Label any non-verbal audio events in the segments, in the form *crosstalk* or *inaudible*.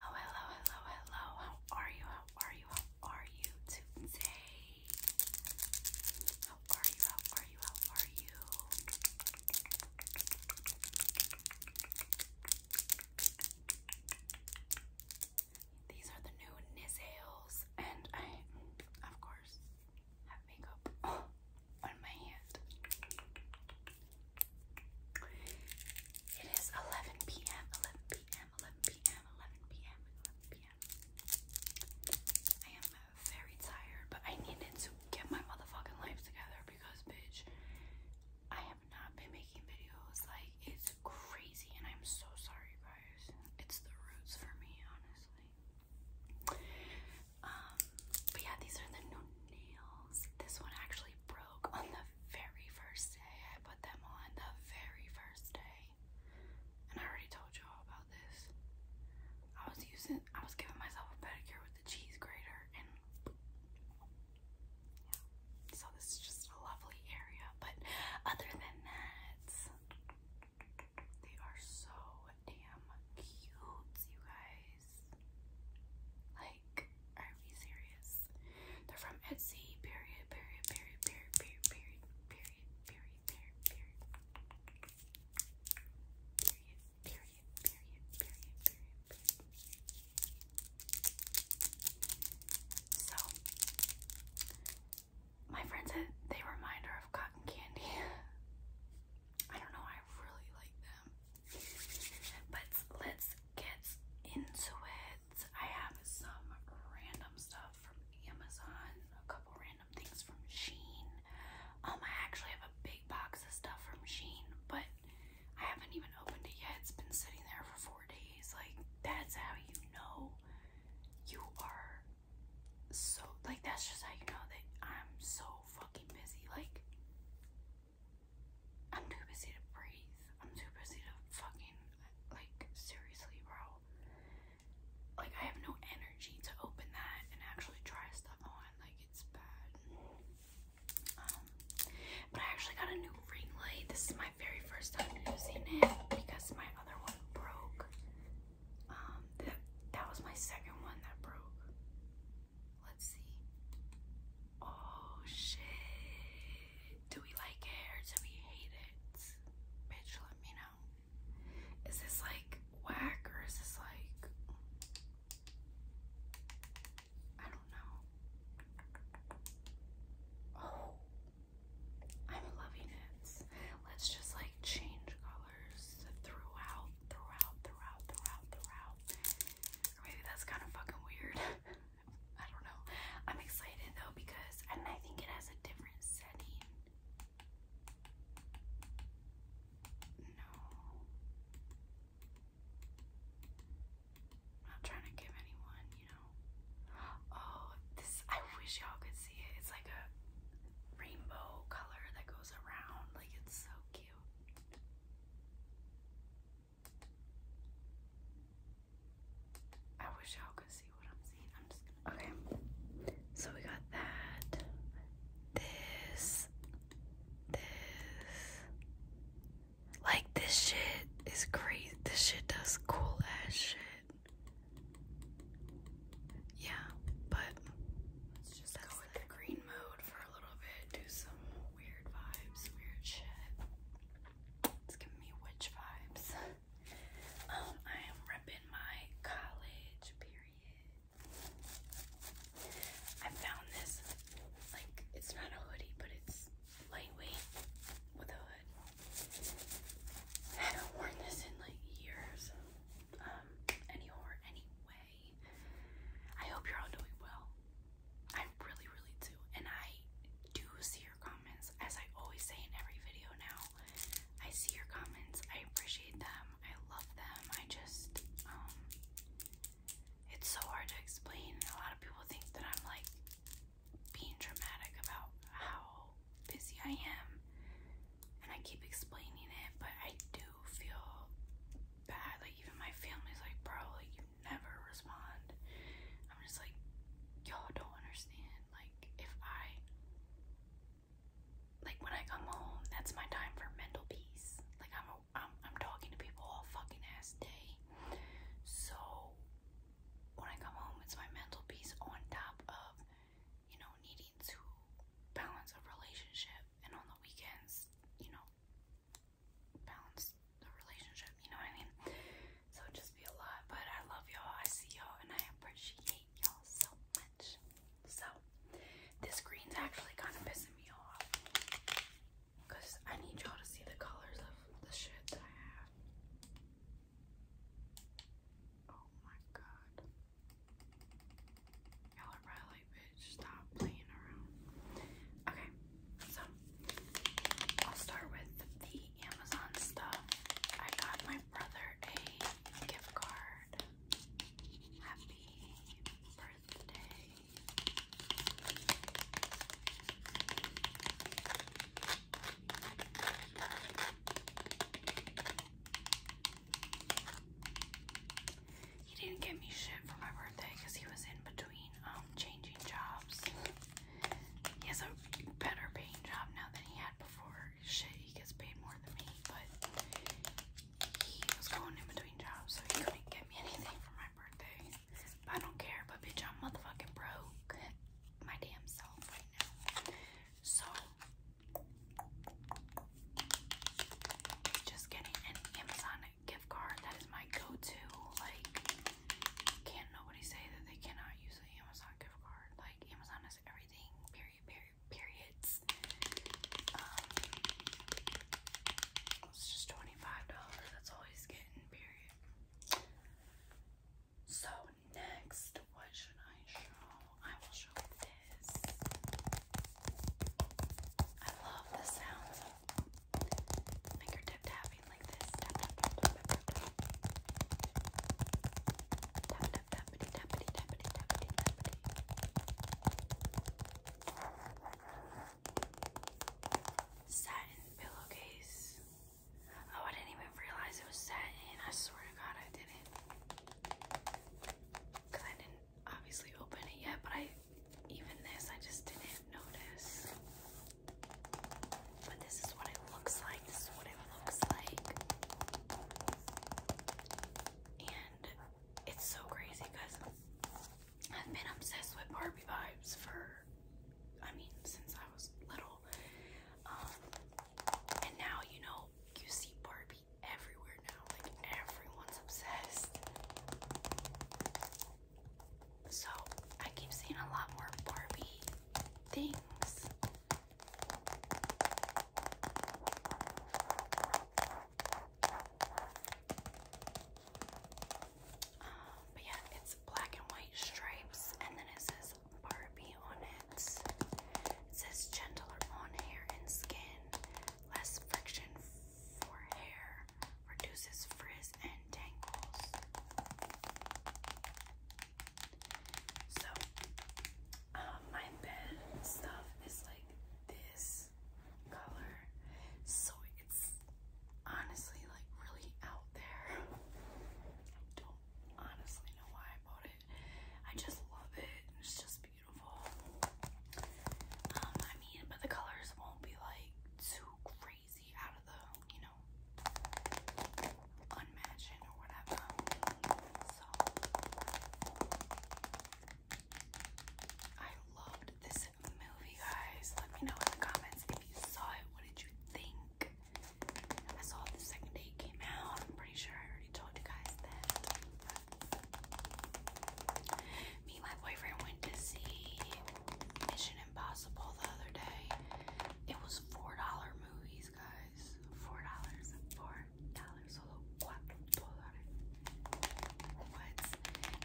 Hello, hello, hello, hello. How are you? How are you? How are you today? How are you? How are you? How are you? These are the new Nizzles, and I, of course, have makeup *laughs* on my hand. It is 11 p.m., 11 p.m., 11 p.m., 11 p.m., 11 p.m. I am very tired, but I needed to get my motherfucking life together because, bitch, I have not been making videos. Like, it's crazy, and I'm so sorry, guys. It's the roots for me, honestly. Um, but yeah, these are the new nails. This one actually on the very first day I put them on, the very first day. And I already told you all about this. I was using, I was giving myself a pedicure with the cheese grater and So this is just a lovely area. But other than that, they are so damn cute, you guys. Like, like, are we serious? They're from Etsy, period, period, period, period, period, period, period, period, period, period. Period, period, period, period, period, period. So, my friend said they remind her of cotton candy. I don't know, I really like them. But let's get into it. I have some random stuff from Amazon, a couple random things from Sheen. Um, I actually have a big box of stuff from Sheen, but I haven't even opened it yet. It's been sitting there for four days. Like, that's how you know you are so, like, that's just how you know that I'm so fucking busy. Like, I'm too busy to breathe. I'm too busy to fucking, like, seriously, bro. Like, I have no energy to open that and actually try stuff on. Like, it's bad. Um, but I actually got a new ring light. This is my very first time using it because my other one broke. Um, that, that was my second one that broke. Let's see. Oh, shit. Do we like it or do we hate it? Bitch, let me know. Is this like whack or is this like I don't know. Oh, I'm loving it. Let's just like change colors throughout, throughout, throughout, throughout, throughout. maybe that's kind of fucking weird. *laughs* I don't know. I'm excited though because and I think it has a different setting. No. I'm not trying to give anyone, you know. Oh, this I wish y'all could see it. It's like a rainbow color that goes around. Like it's so cute. I wish I could see what I'm seeing. I'm just gonna. Okay. So we got that. This. This. Like, this shit is crazy. This shit does cool ass shit. Yeah, but. Let's just go with the green mode for a little bit. Do some weird vibes, weird shit. It's giving me witch vibes. Um, I am repping my college period. I found this, like, it's not a hoodie, but it's lightweight with a hood. I haven't worn this in like years. Um, any anyway. I hope you're all doing well. I really, really do. And I do see your comments. As I always say in every video now, I see your comments. I appreciate them. I love them. I just, um, it's so hard to explain. A lot of people think that I'm like being dramatic about how busy I am. And I keep explaining it, but I do feel bad. Like, even my family's like, bro, like, never respond. I'm just like, y'all don't understand. Like, if I, like, when I come home, that's my time for mental peace. Like, I'm, a, I'm, I'm talking to people all fucking ass day. So, when I come home, it's my mental peace on top of, you know, needing to balance a relationship. And on the weekends, you know, balance the relationship, you know what I mean? So it'd just be a lot, but I love y'all, I see y'all, and I appreciate y'all so much. So, this green's actually kind of pissing me off because I need y'all to see the colors of the shit I have. Oh my god. Y'all are probably bitch, stop playing around. Okay, so I'll start with the Amazon stuff. I got my brother a gift card. Happy birthday. He didn't get me shit for my birthday because he was in between um, changing jobs. He has a better paying job now than he had before. Shit, he gets paid more than me, but he was going in between jobs, so he couldn't get me anything for my birthday. But I don't care, but bitch, I'm motherfucking broke. My damn self right now. So, just getting an Amazon gift card. That is my go-to. Like, can't nobody say that they cannot use the Amazon gift card. Like, Amazon is everything. Period. Period. Periods. Um, it's just twenty-five dollars. That's always getting. Period. So next, what should I show? I will show this. I love the sounds fingertip tapping like this. Tap tap tap tap tap tap. Tap tap tappity tappity tappity tappity tappity. Satin pillowcase. Oh, I didn't even realize it was satin. I swear to God, I didn't. Cause I didn't obviously open it yet, but I even this I just didn't notice. But this is what it looks like. This is what it looks like. And it's so crazy because I've been obsessed with Barbie vibes for, I mean, since I was little. Um, and now, you know, you see Barbie everywhere now. Like, everyone's obsessed. So I keep seeing a lot more Barbie things. Um, but yeah, it's black and white stripes, and then it says Barbie on it. It says gentler on hair and skin, less friction for hair, reduces frizz and tangles. So, um, my bed stuff is like this color, so it's honestly like really out there. *laughs* I don't honestly know why I bought it. I just love it. It's just beautiful. Um, I mean, but the colors won't be like too crazy I loved this movie, guys. Let me know in the comments if you saw it. What did you think? I saw it the second it came out. I'm pretty sure I already told you guys that. Me and my boyfriend went to see Mission Impossible the other day. It was four dollar movies, guys. Four dollars. Four dollars. Solo cuatro dólares. What?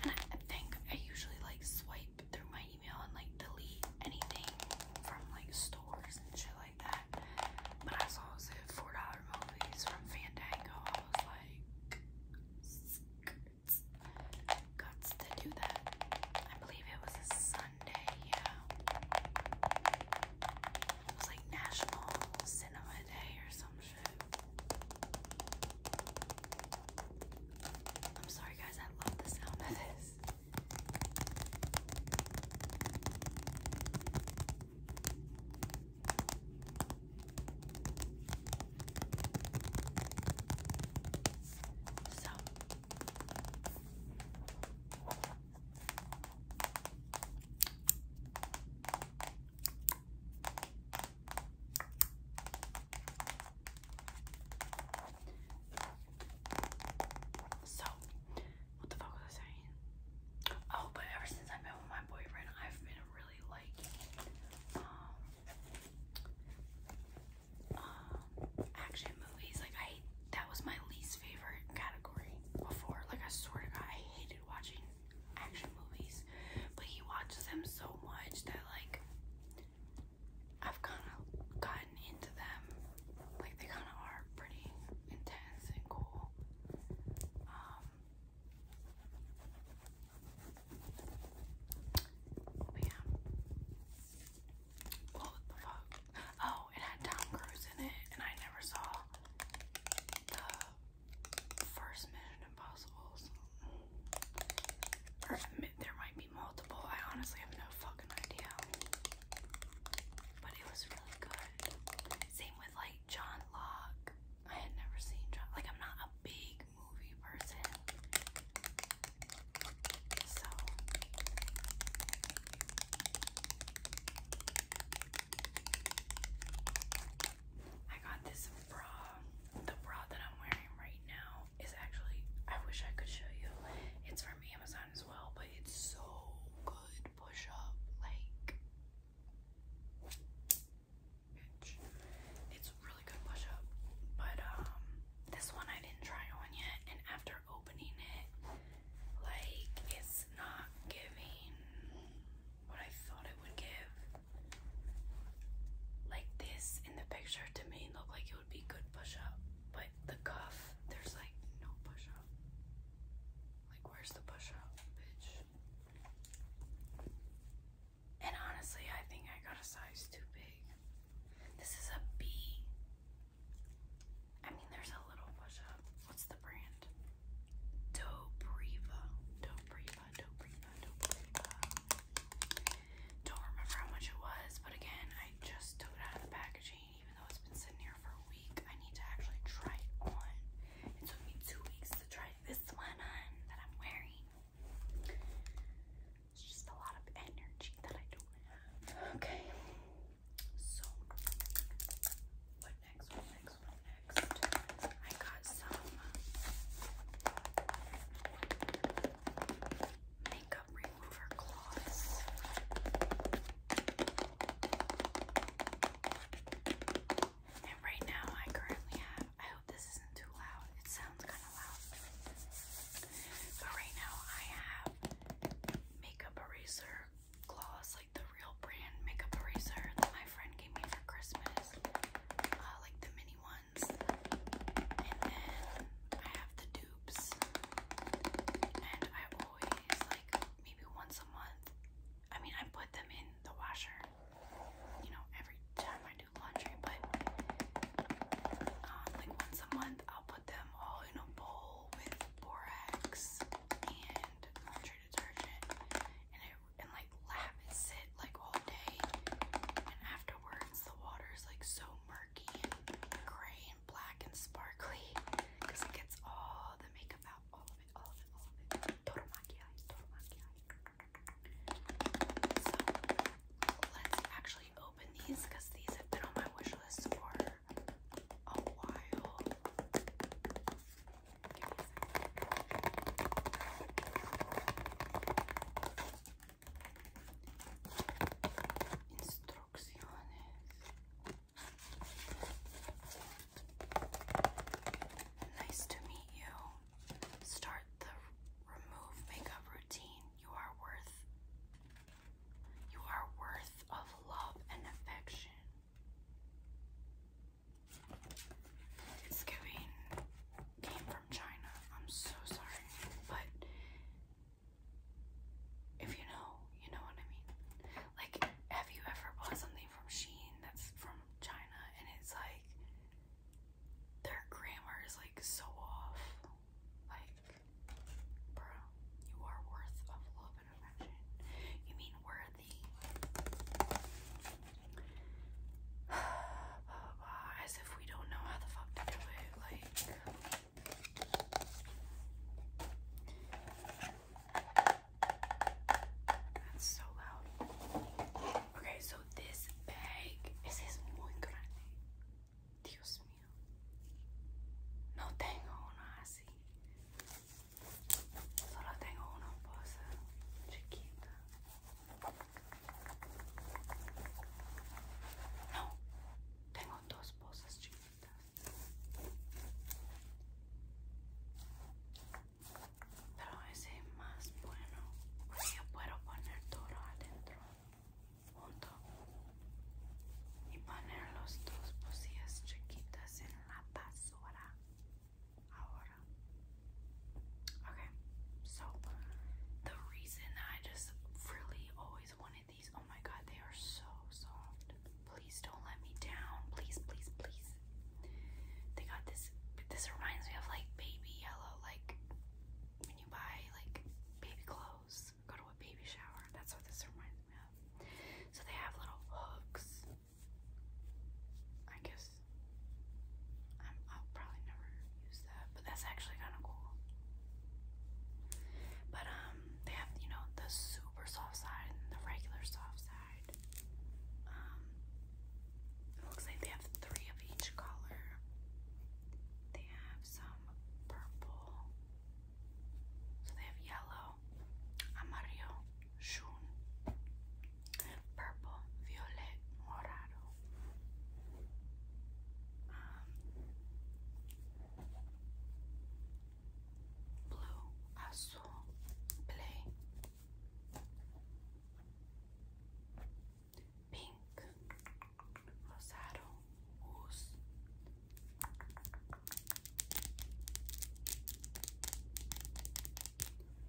And I think I usually like swipe through my email and like delete anything from like stores and shit like that. But I saw it was four dollar movies from Fandango. I was like guts. to do that. I believe it was a Sunday, yeah. It was like National Cinema Day or some shit. I'm sorry guys, I love the sound of this. So so, what the fuck was I saying? Oh, but ever since I've been with my boyfriend, I've been really like, um, um, action movies. Like I, that was my least favorite category before. Like I swear to God, I hated watching action movies, but he watches them so much that like I've kind of gotten into them. Like they kind of are pretty intense and cool. Um, yeah, Oh, it had Tom Cruise in it, and I never saw the first Mission Impossible. Or there might be multiple. I honestly have no fucking idea. But it was really good. Same with like John Locke. I had never seen John. Like I'm not a big movie person. So I got this bra. The bra that I'm wearing right now is actually I wish I could show you. It's from Amazon as well, but it's so good push up like bitch. It's really good push up. But um, this one I didn't try on yet and after opening it like it's not giving what I thought it would give. Like this in the picture to me looked like it would be good push up. But the cuff, there's like no push up. Like where's the push up, bitch? And honestly, I think I got a size too big. This is a B. I mean, there's a little push up. What's the brand? Dobriva. Dobriva, Dobriva, Dobriva. Don't remember how much it was, but again, I just took it out of the packaging. Even though it's been sitting here for a week, I need to actually try it on. It took me two weeks to try this one on that I'm wearing. It's just a lot of energy that I don't have. Okay. So what next? What next? What next? I got some uh, makeup remover cloths. And right now I currently have I hope this isn't too loud. It sounds but right now I have makeup eraser gloss, like the real brand makeup eraser that my friend gave me for Christmas. Uh, like the mini ones. And then I have the dupes. And I always like maybe once a month. I mean I put them in the washer. You know, every time I I do laundry, but um, like once a month I'll put them all in a bowl with borax and laundry detergent, and it and like laps it like all day, and afterwards the water is like so murky and gray and black and sparkly because it gets all the makeup out, all of it, all of it, all of it. Total maquillage, total maquillage. So let's actually open these because these have been on my wish list for a while. Give Nice to meet you. Start the remove makeup routine. You are worth you are worth of love and affection. It's giving came from China. I'm so sorry. But if you know, you know what I mean. Like, have you ever bought something from Shein that's from China and it's like their grammar is like so off? Like, bro, you are worth of love and affection. You mean worthy. *sighs* As if we don't know how the fuck to do it. Like, that's so loud. Okay, so this bag, es es muy grande. Dios mío, no tengo una así, solo tengo una bolsa chiquita. No, tengo dos bolsas chiquitas. Pero ese es más bueno. Yo puedo poner todo adentro. okay so the reason I just really always wanted these oh my god they are so soft please don't let me down please please please they got this this reminds me of like baby yellow like when you buy like baby clothes go to a baby shower. That's what this reminds me of. So they have little hooks. I guess i will probably never use that, but that's actually kind of cool. But um, they have you know the super soft side and the regular soft side. Um, it looks like they have three of each color. They have some purple. So they have yellow, amarillo, shun, purple, violet, morado. Um, blue, azul, play pink, rosado, goose.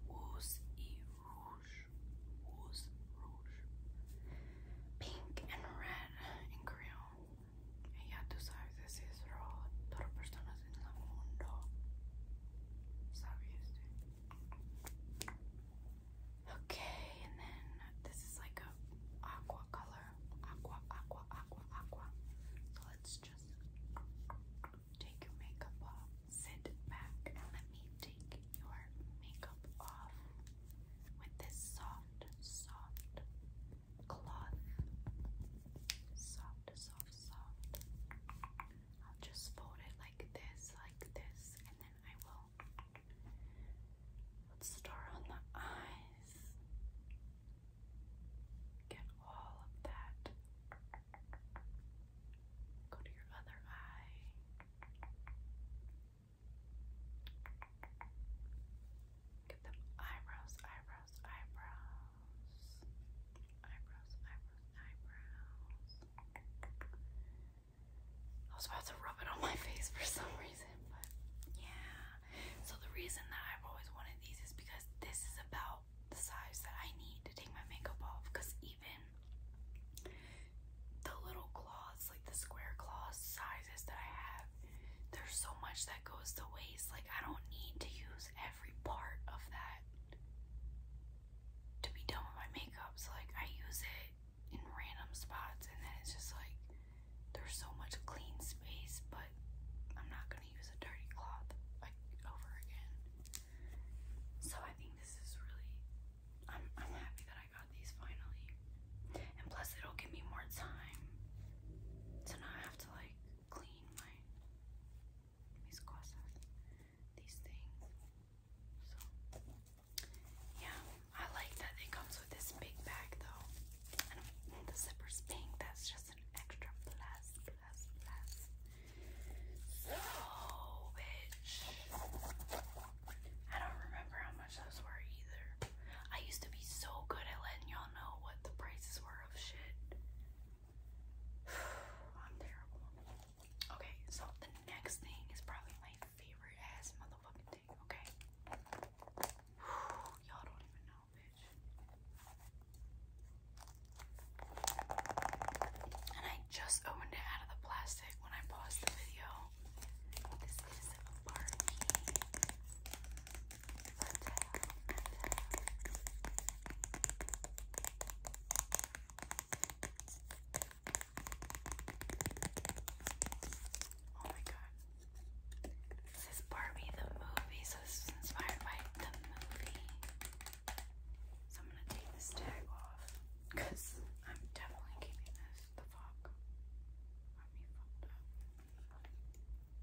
Wooz y rouge, wooz, rouge, pink and red en creon. ya tú sabes, ese es Todas personas en el mundo. ¿Sabes? Okay, and then this is like a aqua color. Aqua, aqua, aqua, aqua. So let's just take your makeup off. Sit back let me take your makeup off with this soft, soft cloth. Soft, soft, soft. I'll just fold it like this, like this, and then I will Let's on the eyes. Get all of that. Go to your other eye. Get them eyebrows, eyebrows, eyebrows. Eyebrows, eyebrows, eyebrows. I was about to rub it on my *laughs* face for some reason, but yeah. So the reason that I've always wanted these is because this is about the size that I need to take my makeup off. Cause even the little claws, like the square claws sizes that I have, there's so much that goes to waste. Like I don't need to use every part of that to be done with my makeup. So like I use it in random spots and then it's just like there's so much clean space but I'm not gonna use a dirty cloth like over again. So I think this is really I'm I'm happy that I got these finally. And plus it'll give me more time to not have to like clean my mis these things. So yeah, I like that it comes with this big bag though. And the zipper's pink, that's just an extra plus, plus, plus. So, bitch. I don't remember how much those were either. I used to be so good at letting y'all know what the prices were of shit. *sighs* I'm terrible. Okay, so the next thing is probably favorite ass motherfucking thing, okay? Y'all don't even know, bitch. And I just opened it out of the plastic when I paused the video. Oh my god. This is Barbie the movie, so this was inspired by the movie. So I'm gonna take this tag off because I'm definitely keeping this. The fuck.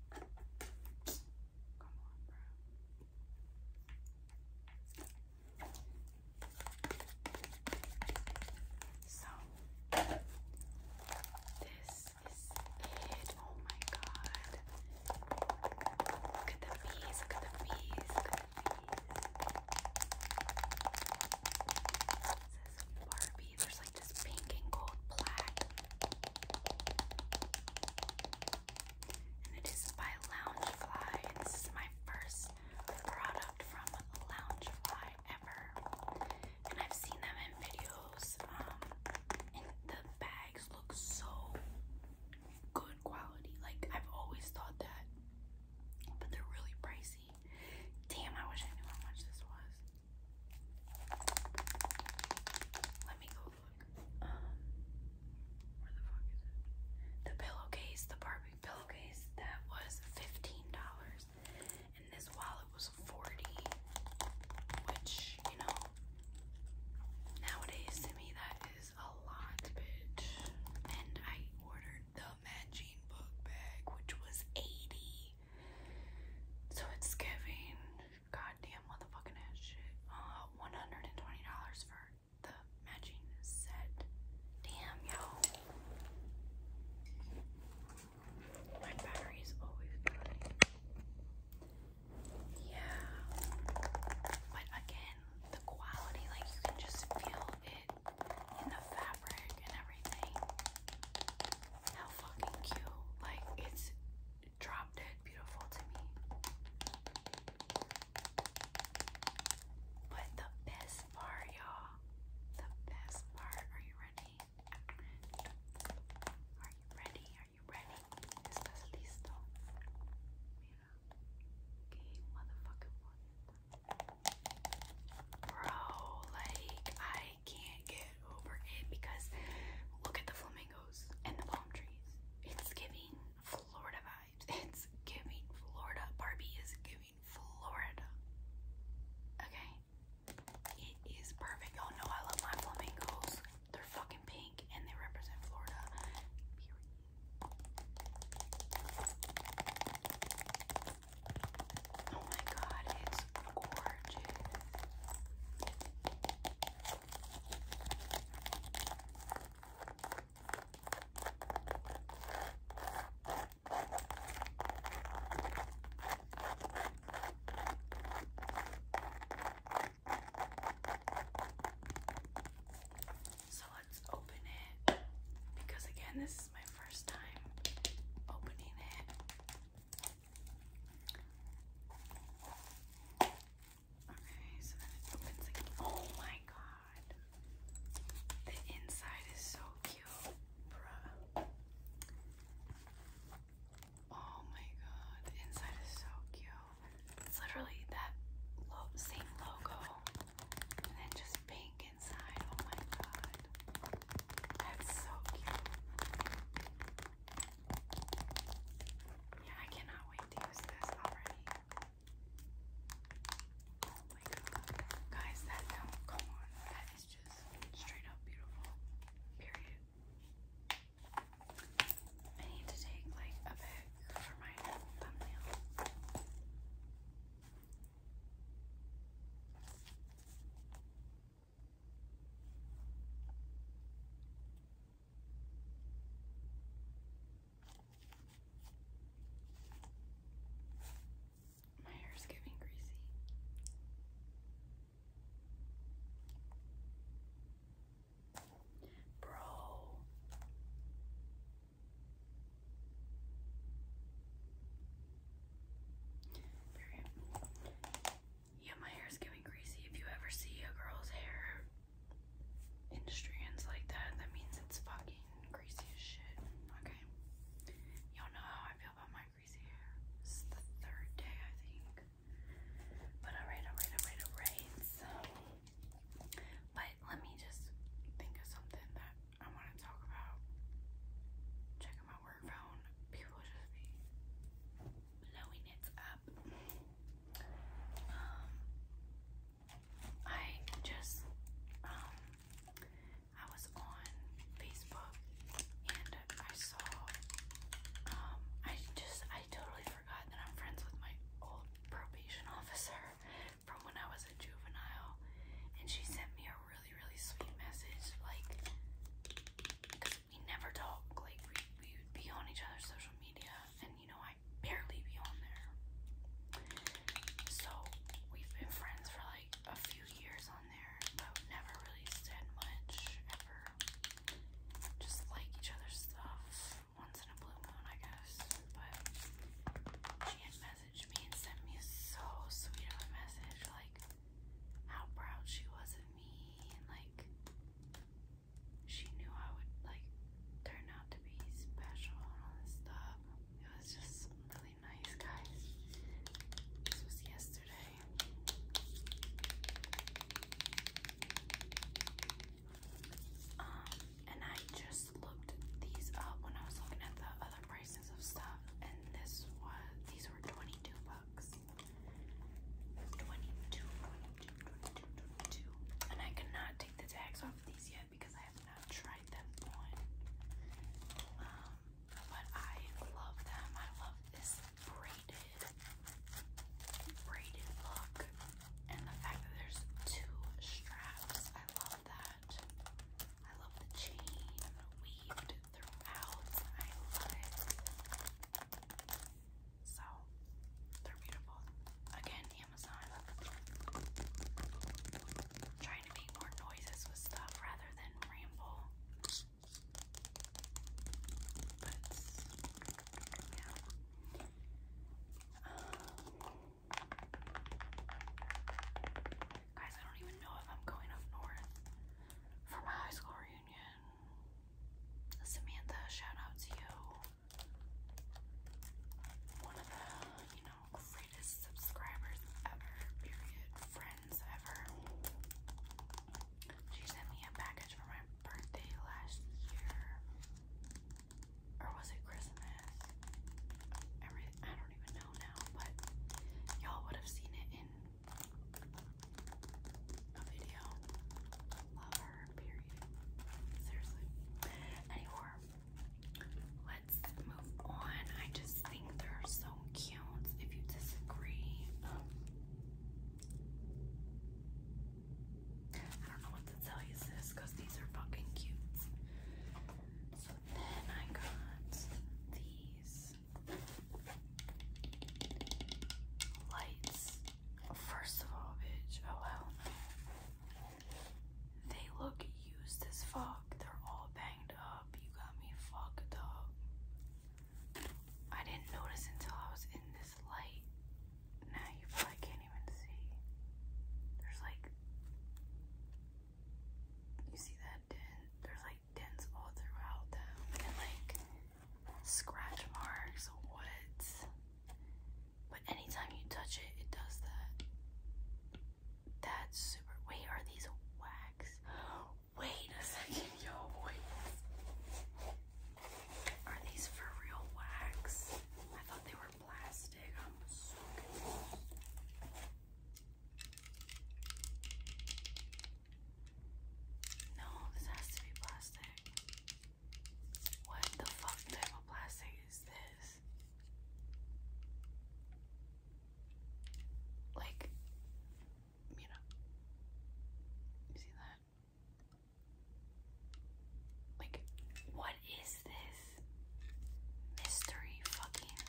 Got me fucked up. Come on, bro. So this is it. Oh my god. Look at the bees. Look at the bees. Look at the bees. It says Barbie. There's like this pink and gold plaid. And it is by Loungefly. this is my first product from Loungefly ever. And I've seen them in videos. Um, and the bags look so good quality. Like I've always thought that. But they're really pricey. Damn, I wish I knew how much this was. Let me go look. Um where the fuck is it? The pillowcase, the Barbie pillowcase, that was $15 and this wallet was 40 which, you know, nowadays to me that is a lot, bitch. And I ordered the matching book bag, which was 80. So it's giving goddamn motherfucking ass shit. Uh, $120 for the matching set. Damn, yo. My battery is always good. Yeah. But again, the quality, like you can just feel it in the fabric and everything. How fucking cute. Like it's drop dead beautiful to me. But the best best y'all. The best part. Are you ready? Are you ready? Are you ready? ¿Estás listo? Mira. Que motherfucking Bro, like, I can't get over it because look at the flamingos and the palm trees. It's giving Florida vibes. It's giving Florida. Barbie is giving Florida. Okay? It is perfect. Oh no, I love my flamingos. They're fucking pink and they represent Florida. Oh my god, it's gorgeous. So let's open it because, again, this is my first time opening it. Okay, so then it opens again. Oh my god. The inside is so Oh my god, inside is so cute. It's literally that same logo, and then just pink inside. Oh my god, that's so cute. Yeah, I cannot wait to use this already. Oh my god, guys, that come, come on, that is is just straight up beautiful. Period. I need to take like a pic for my thumbnail. My hair's getting greasy. Bro. Yeah, my hair's getting greasy. If you ever see a girl's hair in strands like that, that means it's fucking greasy as shit. Okay. Y'all know how I feel about my greasy hair. This is the third day, I think. But alright, alright, alright, alright. but let me just think of something that I want to talk about. Checking my work phone. People just be blowing it up. Um, I just, um, I was on Facebook and I saw um, I just I totally forgot that I'm friends with my old probation officer from when I was a juvenile and she sent me a really really sweet message like because we never talk like we, we would be on each other's social media and you know I barely be on there so we've been friends for like a few years there. I never really said much Just like each other's stuff once in a blue moon, I guess. But she messaged me and sent me so sweet of a message, like how proud she was of me and like she knew I would like turn out to be special and all this stuff. It was just nice, guys. This was yesterday. Um, and I just looked these up when I was looking at the other prices of stuff, and this was these were twenty-two bucks. 22, And I cannot take the tags off these yet because I have not tried them on. Um, but I love them. I love this braided, braided look, and the fact that there's two straps. I love that. I love the chain weaved throughout. I love it. So they're beautiful. Again, Amazon trying to make more noises with stuff rather than ramble. guys, I don't even know if I'm going up north for my high school reunion. Samantha, shout out to you. One of the, you know, greatest subscribers ever, friends ever. She sent me a package for my birthday last year. Or was it Christmas? Every, I don't even know now, but y'all would have seen it in a video. Love her, period. Seriously. Anyway, let's move on. I just think they're so cute. If you disagree, um, I don't know what to tell you, sis, because these are fucking cute. So then I got these lights. First of all, bitch, oh hell They look used as fuck. They're all bent up. You got me fucked up. I didn't notice until I was in this light. Now you probably can't even see. There's like, you see that dent? There's like dents all throughout them and like scratch marks. What? But anytime you touch it, it does that. That's super. Wait, are these wax? Wait a second, yo boys. *laughs* Are these for real wax? I thought they were plastic. I'm so confused. No, this has to be plastic. What the fuck type of plastic is this? Like, you know, you see that? Like, what is this? Mystery fucking.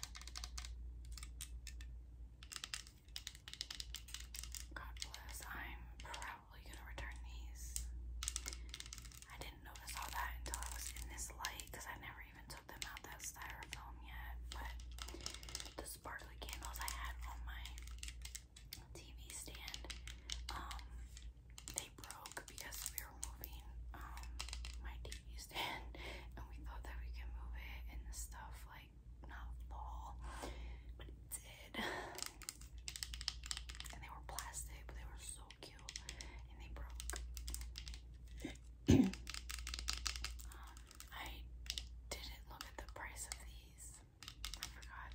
God bless. I'm probably gonna return these. I didn't notice all that until I was in this light because I never even took them out that styrofoam yet, but the sparkly candles I had on my TV stand, um, they broke because we were moving um my TV *laughs* stand and we thought that we could move it and the stuff like not fall, but it did. And they were plastic, but they were so cute and they broke. *clears throat* Um, I didn't look at the price of these. I forgot.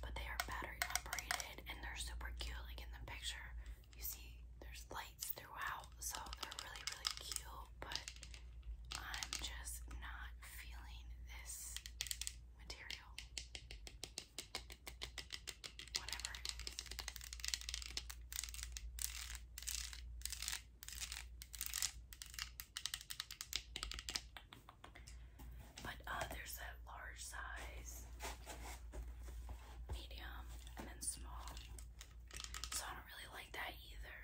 But they are battery operated and they're super cute. Like in the picture, you see there's lights throughout, so they're really, really cute. But I'm just not feeling this material. Whatever. But uh, there's a large size, medium, and then small. So I don't really like that either.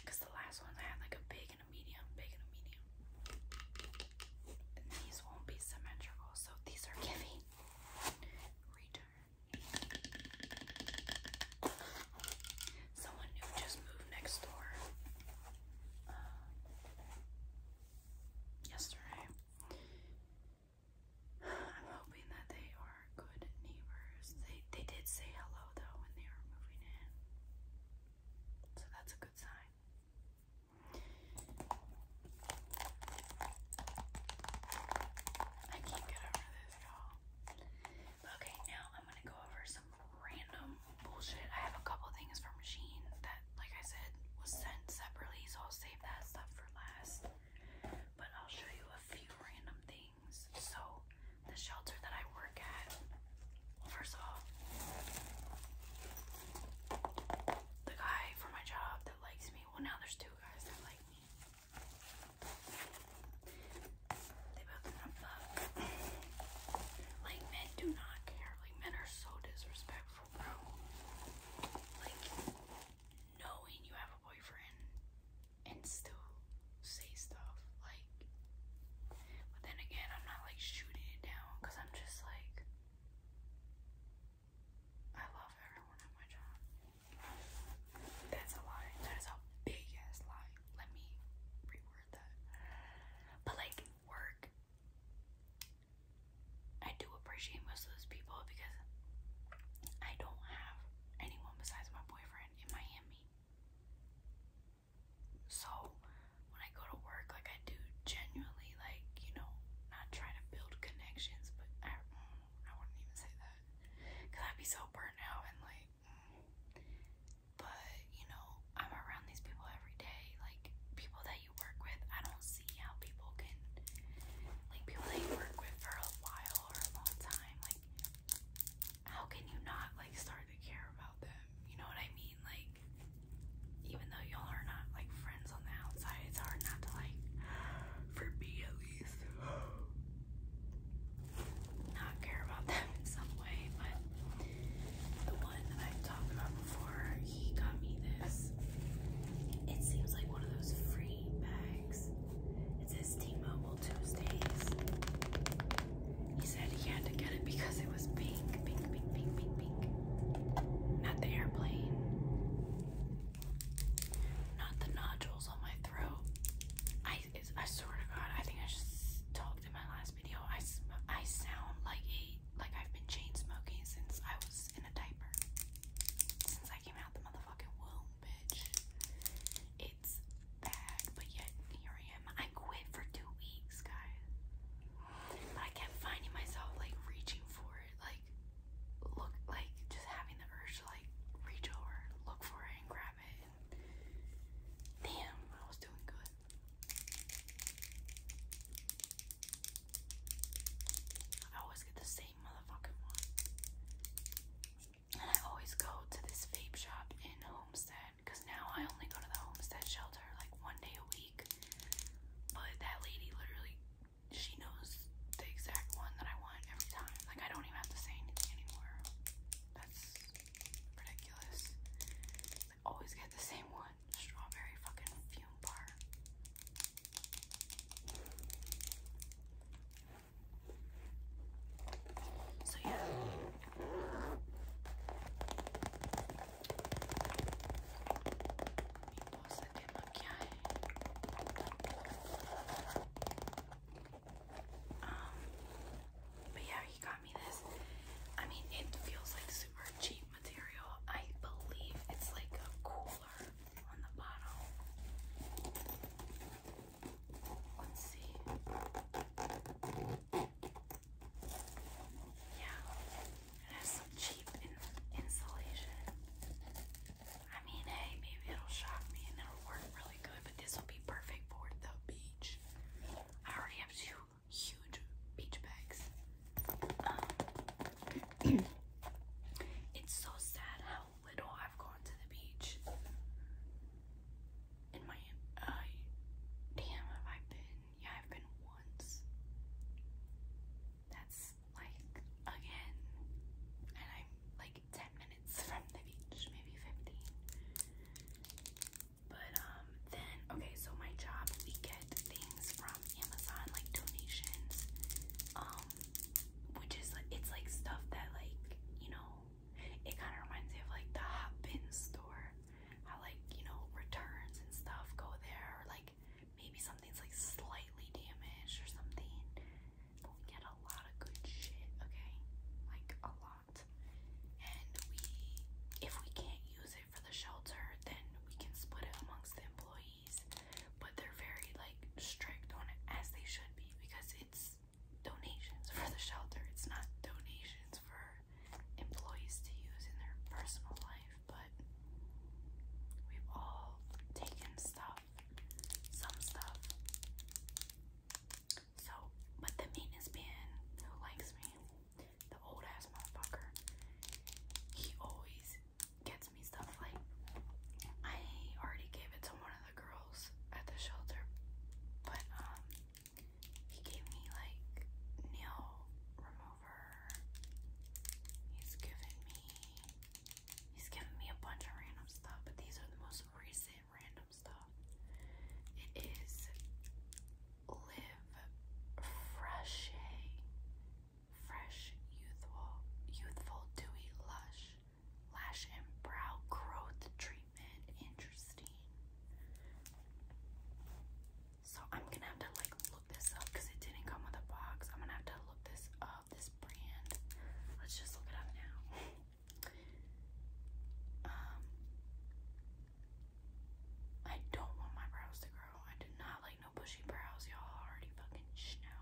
Because the last ones I had like a big and a medium, big and a medium. And these won't be symmetrical, so these are giving return. Someone who just moved next door uh, yesterday. I'm hoping that they are good neighbors. They they did say hello though when they were moving in, so that's a good sign. I can't get over this, y'all. Okay, now I'm gonna go over some random bullshit. I have a couple things from Sheen that, like I said, was sent separately, so I'll save that stuff for last. But I'll show you a few random things. So, the shelter that I work at, first of the guy for my job that likes me, well, now there's two guys that like me. They both want to fuck. Like, men do not care. Like, men are so disrespectful, bro. Like, knowing you have a boyfriend and still say stuff. Like, but then again, I'm not like shooting it down because I'm just like, I love everyone at my job. That's a lie. That is a big lie. Let me reword that. But like work, I do appreciate most of those people because I don't have anyone besides my boyfriend in Miami. So when I go to work, like I do genuinely, like you know, not trying to build connections, but I, mm, I wouldn't even say that because I'd be so burnt out and like, mm. but you know, I'm around these people every day. Like, people that you work with, I don't see how people can, like, people that you work with for a while or a long time, like, how can you not, like, start to care about them? You know what I mean? Like, even though y'all are not, like, friends on the outside, it's hard not to, like, for me at least, *gasps* not care about them in some way. But the one that i talked about before, he got me this. It seems like one of those free bags. It says T-Mobile Tuesdays. He said he had to get it because it was pink, pink, pink, pink, pink, pink. Not the airplane. Not the nodules on my throat. I I swear to God, I think I just talked in my last video. I I sound like a like I've been chain smoking since I was in a diaper. Since I came out the motherfucking womb, bitch. It's bad, but yet here I am. I quit for two weeks, guys. But I kept finding myself like reaching for it, like look, like just having the urge to like reach over, look for it and grab it. damn, I was doing good. I always get the same motherfucking one. And I always go to this vape shop in Homestead because now I only go to the Homestead shelter like one day a week. But that lady literally, she knows the exact one that I want every time. Like, I don't even have to say anything anymore. That's ridiculous. I always get the same one strawberry fucking fume bar. So, yeah. Um, but yeah, he got me this. I mean, it feels like super cheap material. I believe it's like a cooler on the bottom. Let's see. Yeah, it has some cheap insulation. I mean, hey, maybe it'll shock me and it'll work really good, but this will be perfect for the beach. I already have two huge beach bags. Um, *clears throat* it's so sad how little I've gone to the beach. In my, uh, damn, have I been? Yeah, I've been once. That's like again, and I'm like 10 minutes from the beach, maybe 15. But um then okay, so my job we get things from Amazon like donations. Um which is like it's like stuff that like, you know, it kind of reminds me of like the hot bin store. How like, you know, returns and stuff go there or like maybe something's like slightly damaged or something we get a lot of good shit, okay? Like a lot. And we if we can't use it for the shelter, then we can split it amongst the employees. But they're very like strict on it as they should be because it's donations for the shelter. It's not donations for employees to use in their personal life, but we've all taken stuff some stuff. So, but the maintenance man who likes me, the old ass motherfucker, he always gets me stuff like I already gave it to one of the girls at the shelter, but um he gave me like nail remover. He's given me He's giving me a bunch of random stuff, but these are the most recent random stuff. It is Live Fresh Fresh Youthful Youthful Dewy Lush Lash and Brow Growth Treatment. Interesting. So I'm gonna have to like look this up because it didn't come with a box. I'm gonna have to look this up, this brand. Let's just look it up now. *laughs* Um, I don't want my brows to grow. I do not like no bushy brows. Y'all already fucking snow.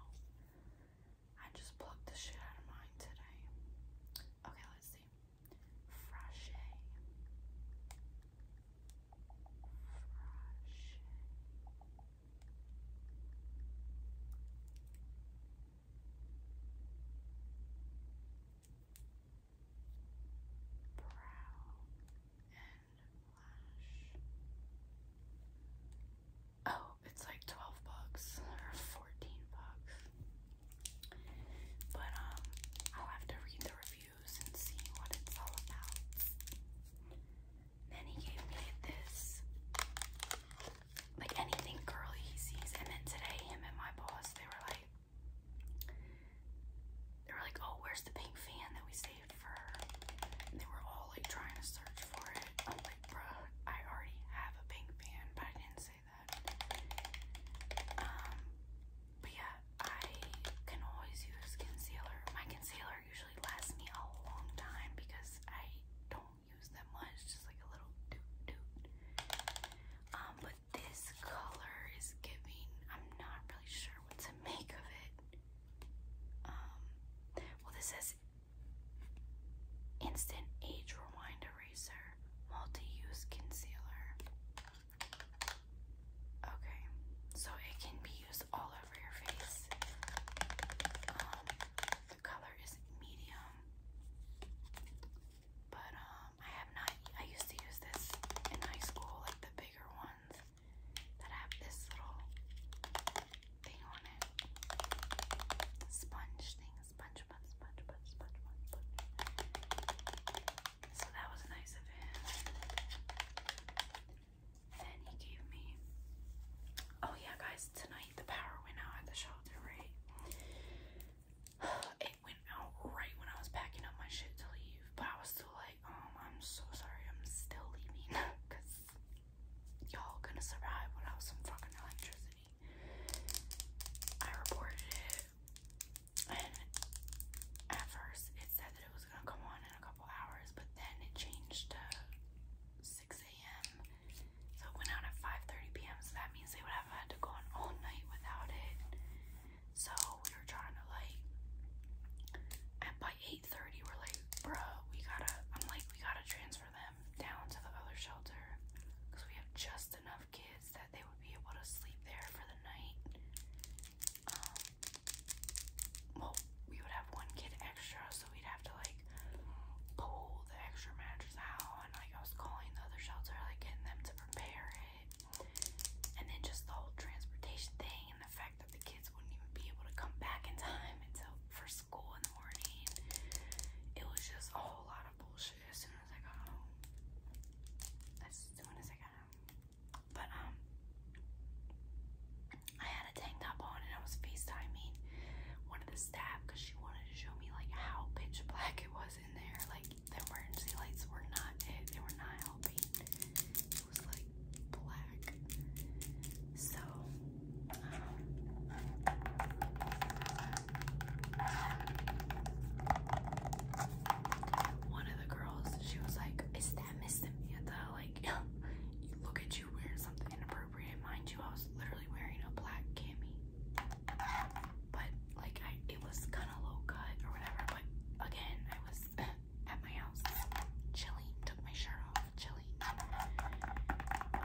I just plucked the shit out of mine today. Okay, let's see. Frashe. Frashe. Brow and lash. Oh, it's like 12 bucks or 14 bucks. But, um, I'll have to read the reviews and see what it's all about. Then he gave me this like anything girly he sees. And then today, him and my boss, they were like, they were like, oh, where's the pink fan that we saved for And they were all like trying to search for it. I'm like, bro, I already have a pink fan, but I didn't say that. Um, but yeah, I can always use concealer. My concealer usually lasts me a long time because I don't use that much, just like a little um, but this color is giving, I'm not really sure what to *laughs* make of it. Um, well, this says Instant Age Rewind Eraser Multi Use Concealer. Okay, so it can be used all over your face. Um, the color is medium. But um, I have not I used to use this in high school, like the bigger ones that have this little thing on it. Sponge thing, sponge sponge sponge sponge sponge sponge. So that was nice of him. Then he gave me Oh yeah, guys, tonight the power went out at the shelter, right? *sighs* It went out right when I was packing up my shit to leave, but I was still like, um, I'm so sorry, I'm still leaving, *laughs* cause y'all gonna survive without some fucking electricity. I reported it, and at first it said that it was gonna come on in a couple hours, but then it changed to 6 a.m. So it went out at 5.30 p.m. So that means they would have had to go on all night without it. So we were trying to like, and by 8.30 we're like, bro, we gotta, I'm like, we gotta transfer them down to the other shelter. Because we have just enough kids that they would be able to sleep there for the night. Um, well, we would have one kid extra, so we'd have to like pull the extra mattress out and like I was calling the other shelter, like getting them to prepare it. And then just the whole transportation thing and the fact that the kids wouldn't even be able to come back in time until for school in the morning. It was just a whole lot of bullshit as soon as I got home. As soon as I got home. But um I had a tank top on and I was FaceTiming one of the staff because she wanted to show me like how pitch black it was in there. Like the emergency lights were not it. They were not helping. It was like black. So um, one of the girls, she was like, "Is that Miss Samantha?" Like, *laughs* look at you wearing something inappropriate. Mind you, I was literally wearing a black cami but like I, it was kind of low cut or whatever. But again, I was *laughs* at my house, chilling. Took my shirt off, chilling. Um,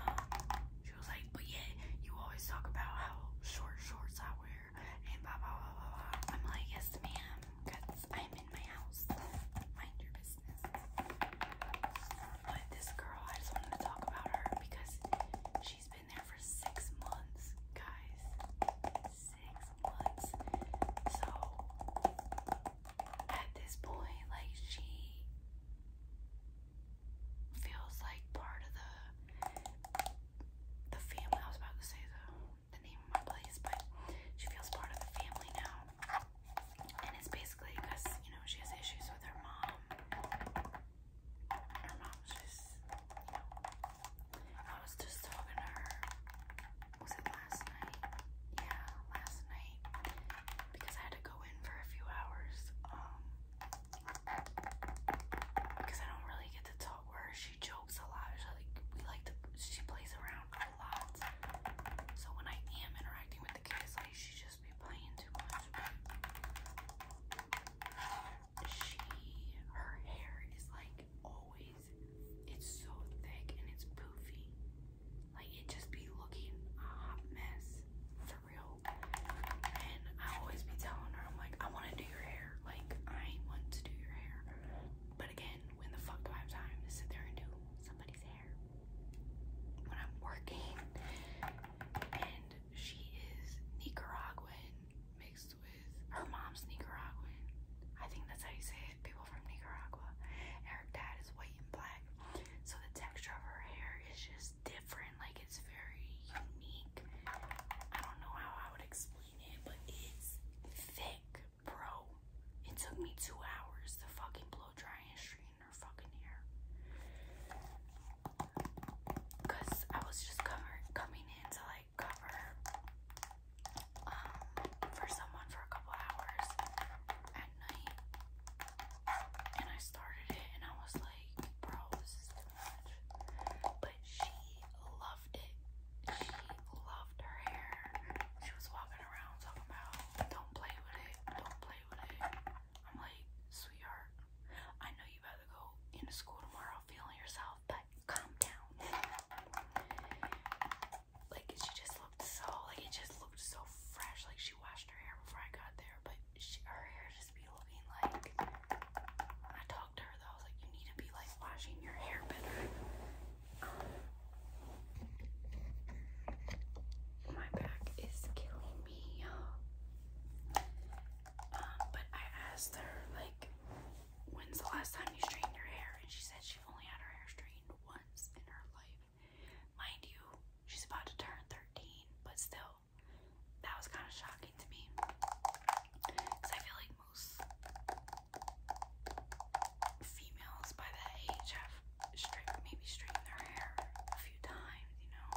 she was like, "But yeah, you always talk about how short shorts I wear and blah blah blah blah blah." I'm like, "Yes, ma'am, because I'm in my house. Mind your business." But this girl, I just wanted to talk about her because she's been there for six months, guys. Six months. So at this point, like she feels like part of the the family. I was about to say the the name of my place, but she feels part of the family now. And it's basically because, you know, she has issues with her mom her mom just, you know, I was just talking to her, was it last night? Yeah, last night, because I had to go in for a few hours, um, because I don't really get to talk with her, she jokes a lot, she like, we like to, she plays around a lot, so when I am interacting with the kids, like, she just just be she, her hair is like always, it's so thick and it's poofy. Like it just be looking a hot mess for real. And I always be telling her, I'm like, I want to do your hair. Like I want to do your hair. But again, when the fuck do I have time to sit there and do somebody's hair? When I'm working and she is Nicaraguan mixed with her mom's Nicaraguan. I think that's how you say it. People from Nicaragua. her dad is white and black. So the texture of her hair is just different. Like it's very unique. I don't know how I would explain it, but it's thick, bro. It took me two hours to fucking blow dry and stream her fucking hair. Cause I was just cover coming in to like cover um, for someone for a couple hours at night. And I started it and I was like, bro, But she loved it. She loved her hair. She was walking around talking about don't play with it, don't play with it. I'm like, sweetheart, I know you better go into school tomorrow feeling yourself, but calm down. Like she just looked so like it just looked so fresh. Like she washed her hair before I got there, but her hair just be looking like. I talked to her though, like, you need to be like washing your hair better. my back is killing me. Um, but I asked her, like, when's the last time you straightened your hair? And she said she's only had her hair straightened once in her life. Mind you, she's about to turn 13, but still, that was kind of shocking to me. Because I feel like most females by that age have straight, maybe straightened their hair a few times, you know?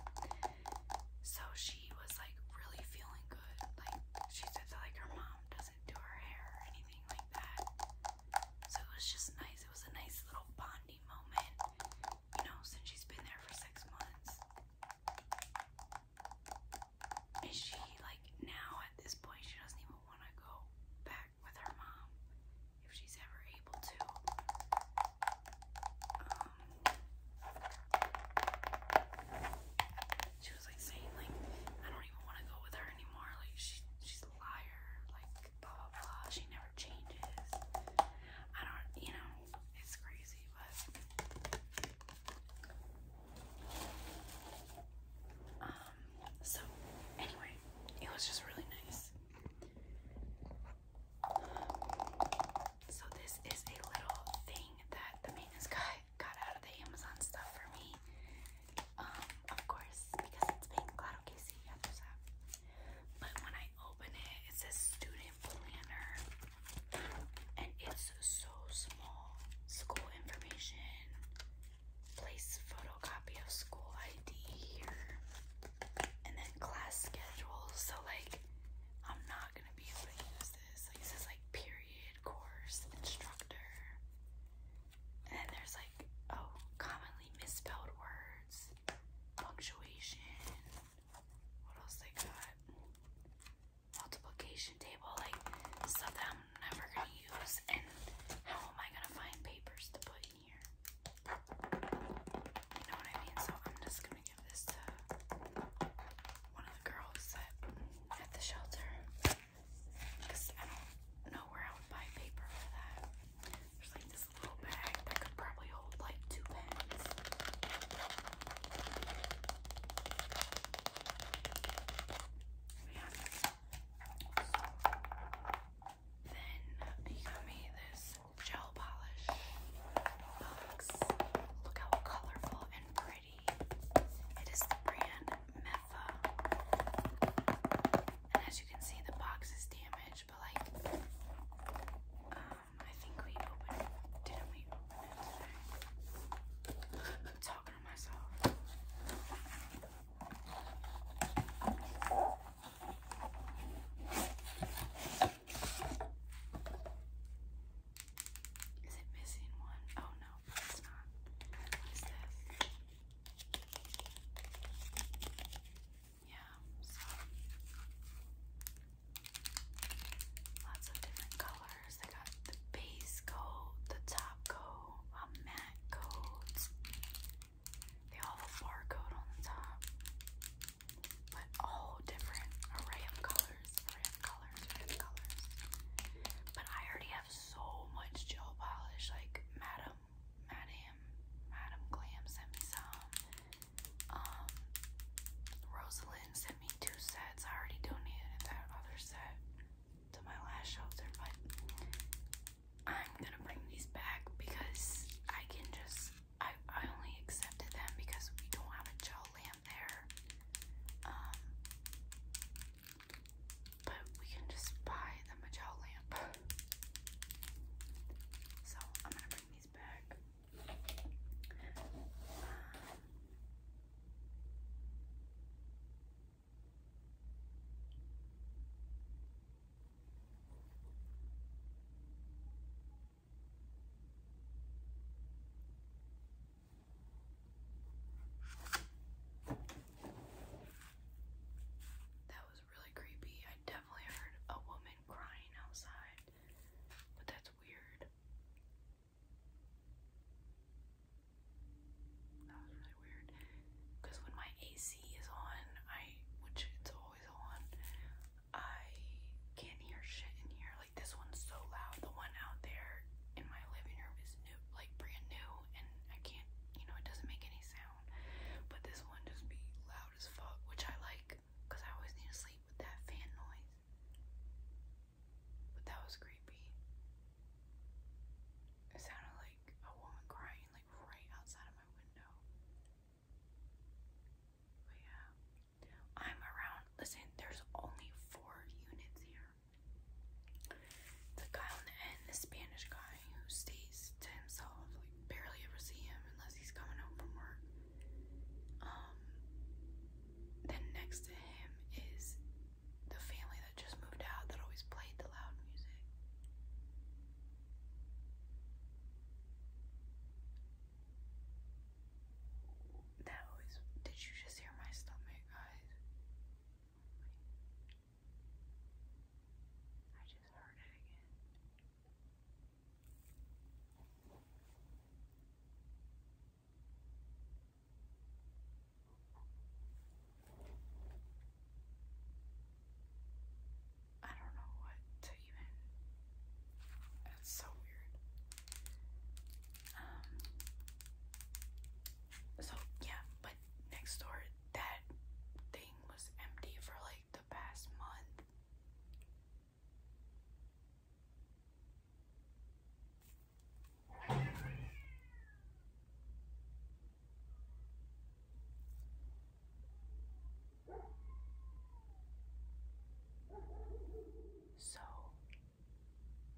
So she was like really feeling good. Like she said that like her mom doesn't do her hair or anything like that. So it was just nice. It was a nice little bonding moment, you know, since she's been there for six months. Is she like now at this point she doesn't even want to go back with her mom if she's ever able to. Um, she was like saying like I don't even want to go with her anymore. Like she she's a liar. Like blah blah blah. She never changes. I don't you know it's crazy, but um. So anyway, it was just really nice. So this is a little thing that the maintenance guy *laughs* got out of the Amazon stuff for me. Um, of course, because it's pink. Claro que sí, I that. But when I open it, it says student planner. And it's so small. School information. Place photocopy of school ID here and then class schedules. So like, I'm not gonna be able to use this. Like, this is like period, course, instructor, and then there's like oh, commonly misspelled words, punctuation. What else they got? Multiplication table, like stuff that I'm never gonna use. And how am I gonna find papers to put in here? You know what I mean? So I'm just gonna give this one of the girls at the shelter because I don't know where I would buy paper for that. There's like this little bag that could probably hold like two pens. then he got me this gel polish box. Look how colorful and pretty. It is the brand Mepha. And as you can see, the box is damaged, but like, um, I think we opened Didn't we talking to myself. Is it missing one? Oh no, it's not. What is this? Yeah, so lots of different colors. They got the base coat, the top coat, matte coat. They all have a barcode on the top but all different array of colors, array of colors, array of colors. But I already have so much gel polish, like Madam, Madam, Madam Glam sent me some. Um, Rosalind sent me two sets. I already donated that other set to my last shelter, but I'm gonna bring these back because I can just I, I only accepted them because we don't have a gel lamp there. Um, but we can just buy them gel lamp. So I'm gonna bring these back. That was really creepy. I definitely heard a woman crying outside, but that's weird. That was really weird. Because when my AC is on, I, which it's always on, I can't hear shit in here. Like this one's so loud. The one out there in my living room is new, like brand new, and I can't, you know, it doesn't make any sound. But this one just be loud as fuck, which I like, cause I always need to sleep with that fan noise. But that was creepy. It sounded like a woman crying, like right outside of my window. But yeah, I'm around. Listen, there's only four units here. The guy on the end, the Spanish guy who stays to himself, like barely ever see him unless he's coming home from work. Um, then next to him is the family that just moved out that always played the loud music. That always. Did you just hear my stomach, guys? I just heard it again. I don't know what to even. That's so weird. Um. So yeah, but next door that thing was empty for like the past month. So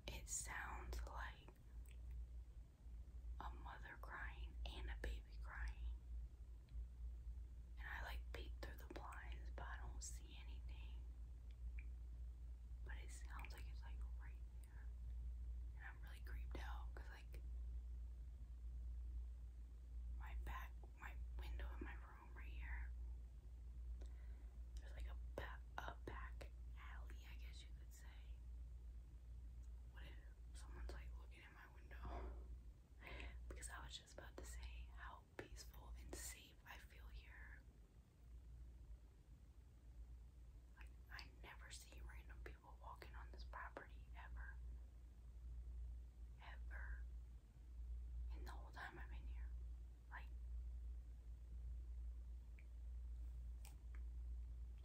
it sounds like a mother crying and a baby crying. And I like peek through the blinds, but I don't see anything. But it sounds like it's like right there. And I'm really creeped out like, my back my window in my room right here. There's like a, a back alley, I guess you could say. What if someone's like looking at my window? Because I was just about to say how peaceful and safe I feel here. Like, I never see random people walking on this property ever. Ever in the whole time I've been here. Like,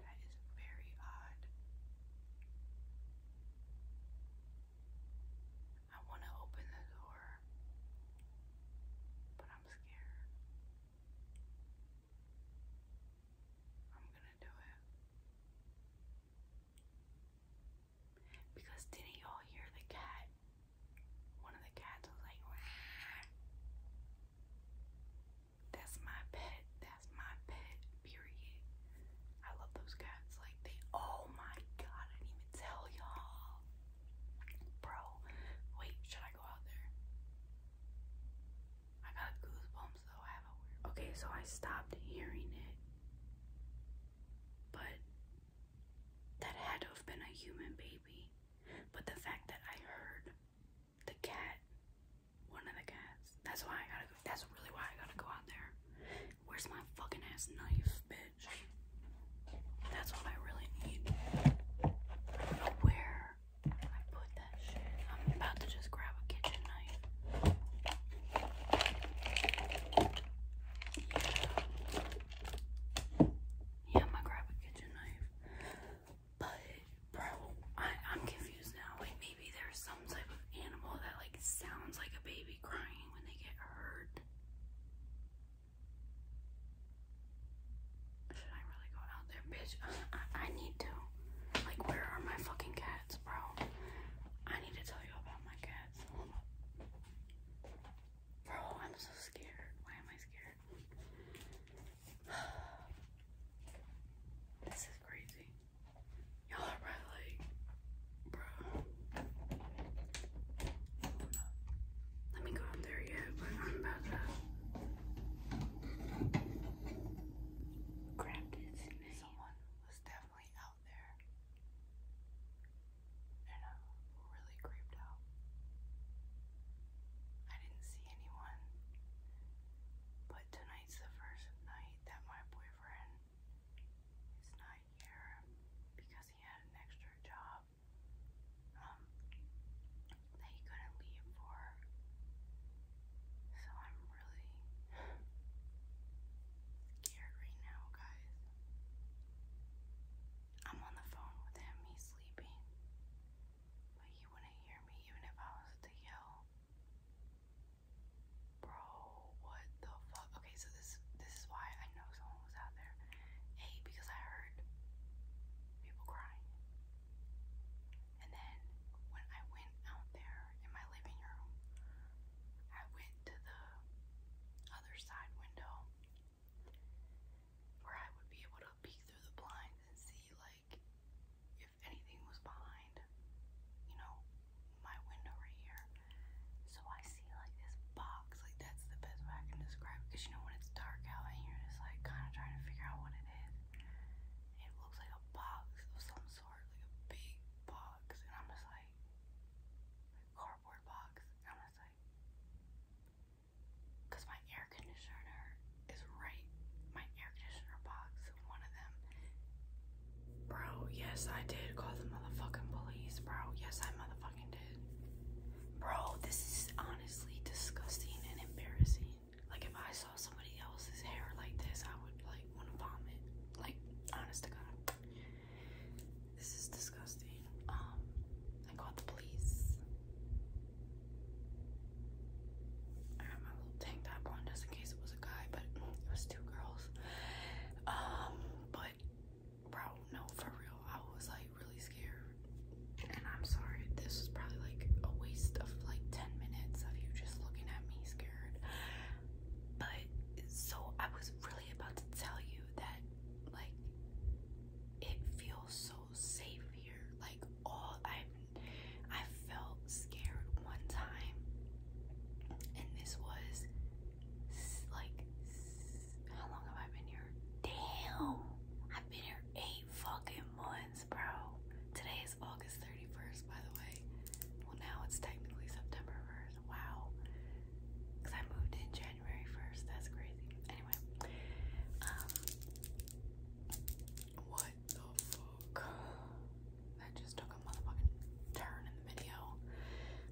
that is very odd. I want to open the door, but I'm scared. I'm gonna do it. Because didn't y'all hear the cat? One of the cats was like, That's my pet. That's my pet. Period. I love those cats. Like they. Oh my god! I didn't even tell y'all, bro. Wait, should I go out there? I got goosebumps though. I have a weird. Okay, so I stopped hearing it, but that had to have been a human baby, but the fact that I heard the cat, one of the cats, that's why I gotta That's really why I gotta go out there. Where's my fucking ass knife, bitch? That's what I really need. I don't know where I put that shit. I'm about to just grab a kitchen knife. Yeah, I'm gonna grab a kitchen knife. But, bro, I, I'm confused now. Like, maybe there's some type of animal that, like, sounds like a baby crying when they get hurt. Should I really go out there, bitch? *sighs* I, I need to. Like, where are my fucking cats, bro? I need to tell you about my cats. Hold Bro, oh, I'm so scared. Why am I scared? *sighs* this is crazy. Y'all are probably bro. Let me go up there yet, grab this. Someone was definitely out there. I'm really creeped out. I didn't see anyone. But tonight's the first night that my boyfriend is not here because he had an extra job um, that he couldn't leave for. So I'm really *sighs* scared right now, guys. I'm on the phone with him, he's sleeping. But he wouldn't hear me even if I was to yell. Bro, what the fuck? Okay, so this this is why I know someone was out there. Hey, because I heard people crying. And then when I went out there in my living room, I went to the side window where I would be able to peek through the blinds and see like if anything was behind, you know, my window right here. So I see like this box, like that's the best way I can describe Cause you know when it's dark out and you like kind of trying to figure out what it is. it looks like a box of some sort, like a big box, and I'm just like, cardboard box. I was like, because my air conditioner is right, my air conditioner box, one of them. Bro, yes, I did call the motherfucking police, bro. Yes, I motherfucking did. Bro, this is honestly disgusting and embarrassing. Like, if I saw somebody else's hair like this, I would, like, want to vomit. Like, honest to God. This is disgusting. Um, I called the police. I got my little tank top on just in case it was a guy, but it was two girls. Um, but bro, no, for real, I was like really scared, and I'm sorry. This was probably like a waste of like ten minutes of you just looking at me scared. But so I was. Really about to tell you that, like, it feels so safe here. Like, all I, I felt scared one time, and this was like, how long have I been here? Damn, I've been here eight fucking months, bro. Today is August 31st, by the way. Well, now it's technically September 1st. Wow. Because I moved in January 1st. That's crazy. Anyway. Um, what the fuck? That just took a motherfucking turn in the video.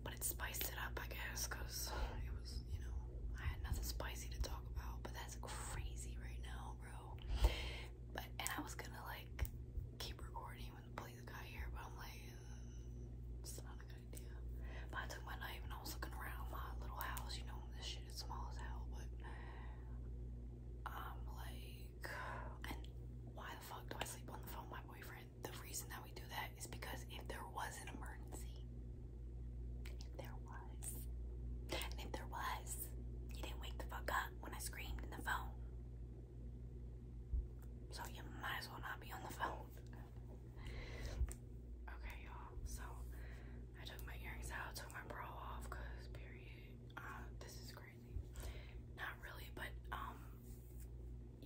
But it spiced it up, I guess, because it was, you know, I had nothing spicy to talk about. But that's crazy right now, bro. But, and I was gonna, like, keep recording, play the guy here, but I'm like, mm, it's not a good idea. I took my knife and I was looking around my little house, you know, this shit is small as hell, but I'm like, and why the fuck do I sleep on the phone with my boyfriend? The reason that we do that is because if there was an emergency, if there was, if there was, you didn't wake the fuck up when I screamed in the phone. So you might as well not be on the phone. okay, y'all. So I took my earrings out, took my bra off, cause period. Uh, this is crazy. Not really, but um,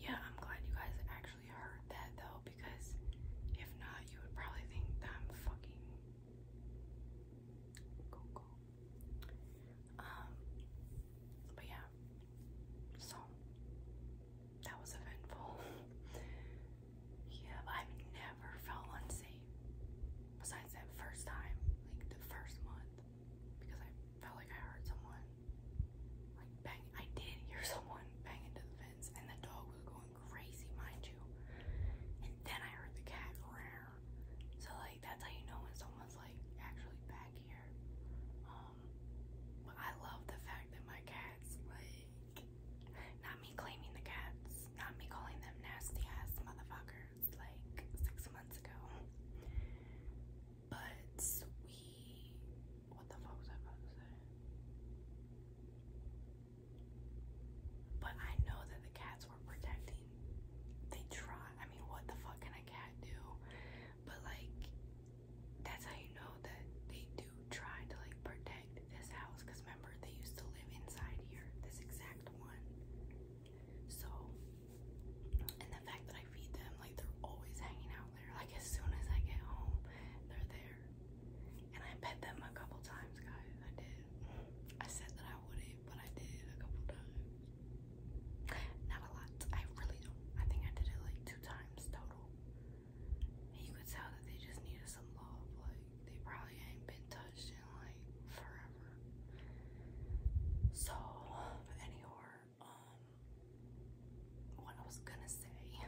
yeah. I'm glad you guys actually heard that though, because if not, you would probably think I'm fucking go Um, but yeah, so that was eventful. *laughs* yeah, I've never felt unsafe. Besides that first time, like the first month, because I felt like I heard someone like bang. I did hear *laughs* someone bang into the fence, and the dog was going crazy, mind you. And then I heard the cat roar. So like that's how you know when someone's like actually back here. Um, um, I love the fact that my cats like not me claiming the cats, not me calling them nasty ass motherfuckers like six months ago. But we what the fuck was I about to say? But I know that the cats were protecting. They try. I mean, what the fuck can a cat do? But like, that's how you know that they do try to like protect this house because remember they used to live inside here this exact one so and the fact that I feed them like they're always hanging out there like as soon as I get home they're there and I pet them a couple times guys I did I said that I wouldn't but I did a couple times not a lot I really don't I think I did it like two times total. you could tell that they just needed some love. Like, they probably ain't been touched in like forever. So, anyhow, um, what I was gonna say,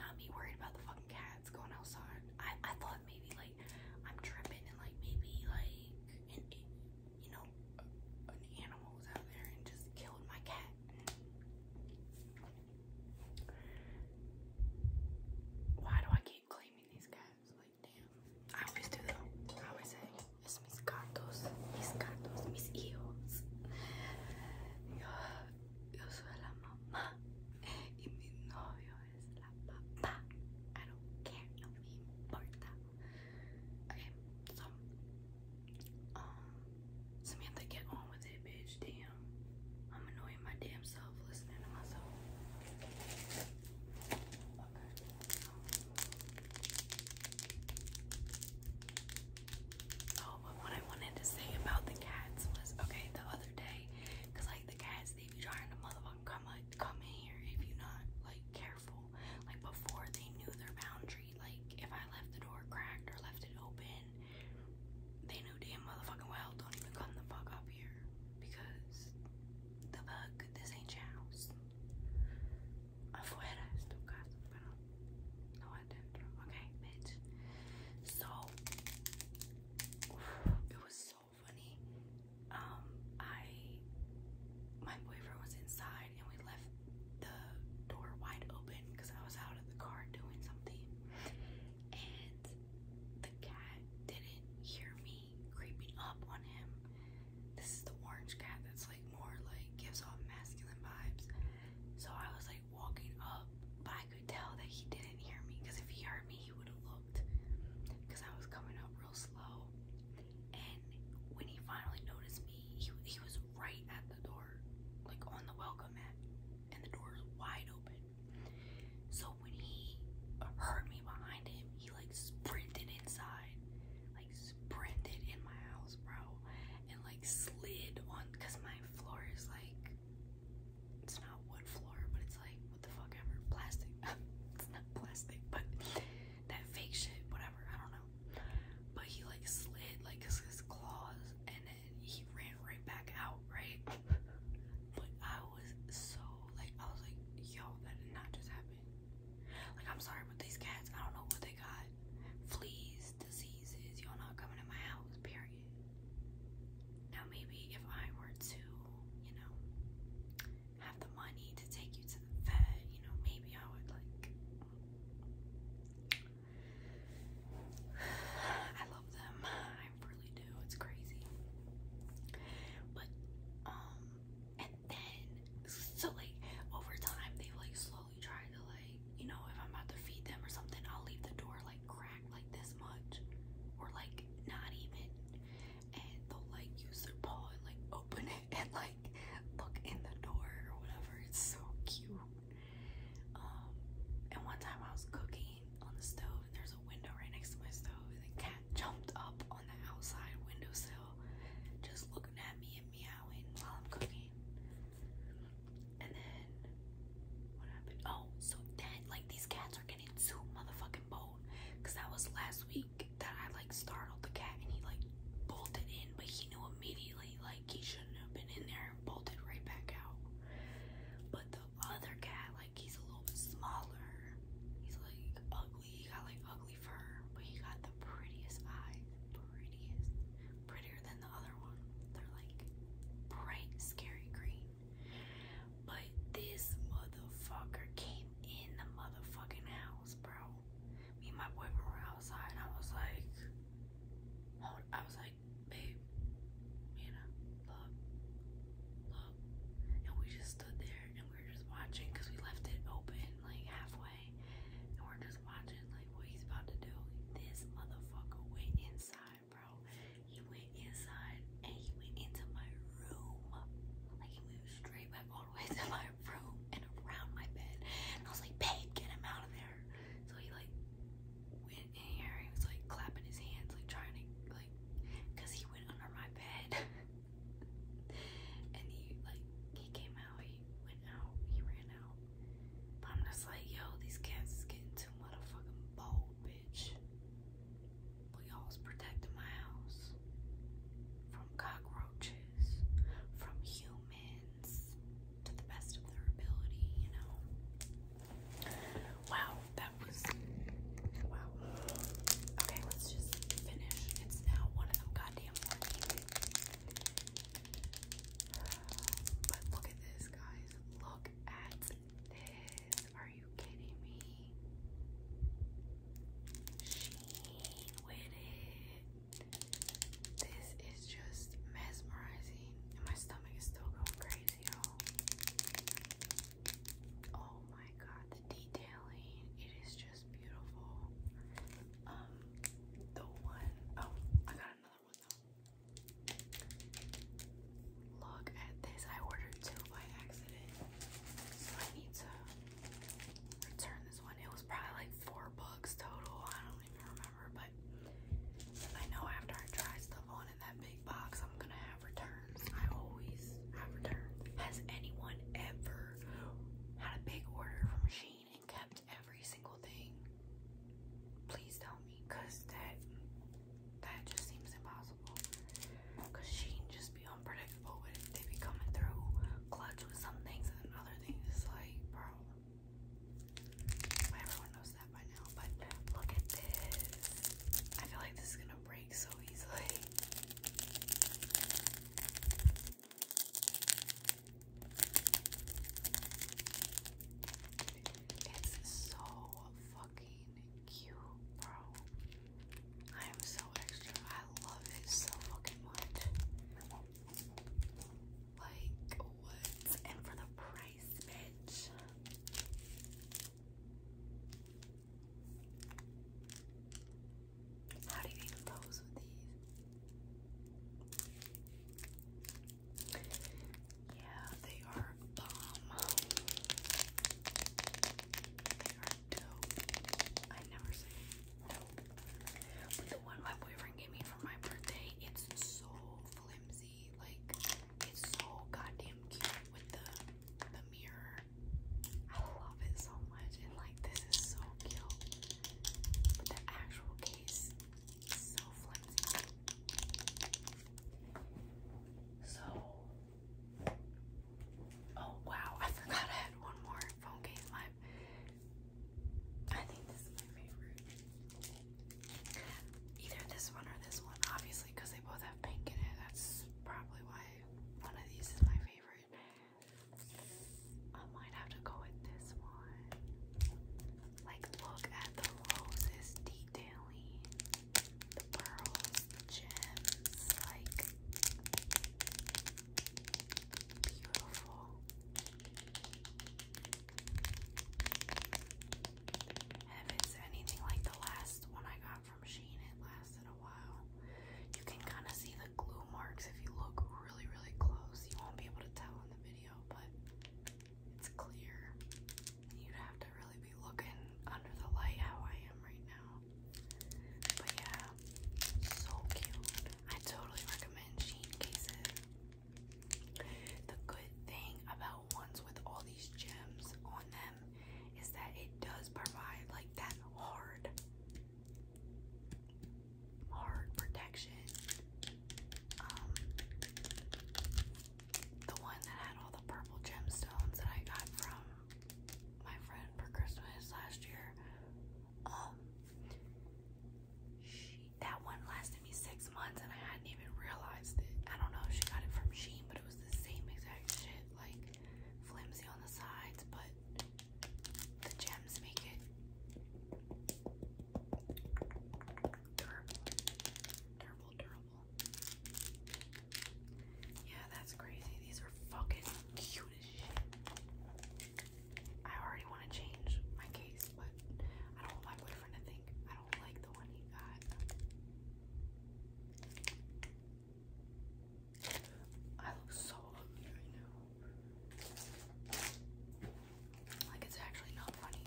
not me worried about the fucking cats going outside. I, I thought maybe like I'm tripping and like maybe like, you know, an animal was out there and just killed my cat. Why do I keep claiming these cats? Like, damn. I always do that. I always say, mis gatos, mis gatos, mis hijos. Yo, yo soy la mamá y mi novio es la papá. I don't care, no me importa. Okay, so um, Samantha, get on with it, bitch. Damn. I'm annoying my damn self listening to myself. Oh, but what I wanted to say about the cats was okay, the other day, like the cats, they be trying to motherfucking come, like, come in here if you're not like careful. Like before, they knew their boundaries like, if I left the door cracked or left it open, they knew damn motherfucking well, don't even come the fuck up here. Because the fuck, this ain't your house. Afuera es tu casa, pero no adentro. Okay, bitch. So, it was so funny. Um, I, my boyfriend was inside and we left the door wide open because I was out of the car doing something. And the cat didn't hear me creeping up on him. This is the orange cat that's like more like gives off masculine vibes. So I was like walking up, but I could tell that he didn't hear me because if he heard me, he would have looked because I was coming up real slow. And when he finally noticed me, he was right at the door, like on the welcome mat, and the door is wide open. So when he heard me behind him, he like sprinted inside, like sprinted in my house, bro, and like slid on because my floor is like it's not wood floor, but it's like what the fuck ever, plastic. *laughs* it's not plastic, but that fake shit, whatever. I don't know. But he like slid like his, his claws and he ran right back out, right? but I was so like I was like, yo, that did not just happen. Like I'm sorry, but these cats, I don't know what they got. Fleas, diseases, y'all not coming to my house, period. Now maybe if I were to, you know, have the money to take you to the vet, you know, maybe I would like *sighs* I love them. I really do. It's crazy. But um and then so like over time they like slowly try to like you know if I'm about to feed them or something I'll leave the door like cracked like this much or like not even and they'll like use their paw and like open it *laughs* and like look in the door or whatever. It's so cute. Um, and one time I was cooking on the stove, and there's a window right next to my stove, and the cat *laughs* jumped up on the outside windowsill, just looking at me and meowing while I'm cooking. And then what happened? Oh, so then like these cats are getting too motherfucking bold. Cause that was last week that I like startled the cat and he like bolted in, but he knew immediately like he shouldn't have been in there and bolted right back out. But the other cat, like he's a little bit smaller. He's like ugly. He got like ugly fur, but he got the prettiest eyes. Prettiest. Prettier than the other one. They're like bright, scary green. But this motherfucker came in the motherfucking house, bro me and my boyfriend were outside, and I was like, I was like, babe, you know, look, look. And we just stood there, and we were just watching, because we left it open, like, halfway. And we're just watching, like, what he's about to do. This motherfucker went inside, bro. He went inside, and he went into my room. Like, he moved straight back all the to my room and around my bed. And I was like, babe, get him out of there. So he like went in here. He was like clapping his hands, like trying to like, cause he went under my bed. *laughs* and he like he came out. He went out. He ran out. But I'm just like, yo, these cats is getting too motherfucking bold, bitch. But alls protecting my house from cockroaches, from humans friends to the best of their ability, you know. Wow, that was wow. Okay, let's just finish. It's now one of them goddamn morning. But look at this, guys. Look at this. Are you kidding me? Sheen with it. This is just mesmerizing, and my stomach is still going crazy, y'all. Oh my god, the detailing, it is just beautiful. Um, the one, oh, I got another one Look at this, I ordered two by accident, so I need to return this one. It was probably like four bucks total, I don't even remember but I know after I try stuff on in that big box, I'm gonna have returns. I always have returns. Has anyone ever had a big order from Sheen and kept every single thing? Please tell me, cause that that just seems impossible. Cause Sheen just be unpredictable with They be coming through clutch with some things and other things. It's like, well, everyone knows that by now, but look at this. I feel like this is gonna break so easily. It's so fucking cute, bro. I am so extra. I love it so fucking much like woods and for the price, bitch. How do you even pose with these? Yeah, they are bomb. Um, they are dope. I never say dope the my boyfriend gave me for my birthday. It's so flimsy, like it's so goddamn cute with the the mirror. I love it so much, and like this is so cute. But the actual case is so flimsy. So, oh wow, I forgot I had one more phone case. My I think this is my favorite. Either this one or this one, obviously, because they both have pink in it. That's probably why one of these is my favorite. I might have to go with this one. Like, look at the roses detailing, the pearls, gems, like, beautiful if it's anything like the last one I got from Sheen, it lasted a while. You can kind of see the glue marks if you look really, really close. You won't be able to tell in the video, but it's clear. You'd have to really be looking under the light how I am right now. But yeah, so cute. I totally recommend Sheen cases. The good thing about ones with all these gems on them is that it does provide like that hard, hard protection. Um, the one that had all the purple gemstones that I got from my friend for Christmas last year. Um, that one lasted me six months and I hadn't even realized it. I don't know if she got it from Sheen, but it was the same exact shit. Like, flimsy on the sides, but the gems make it durable. Durable, durable. Yeah, that's crazy. These are fucking cute as shit. I already want to change my case, but I don't want my boyfriend to think I don't like the one he got. I look so ugly right now. Like it's actually not funny.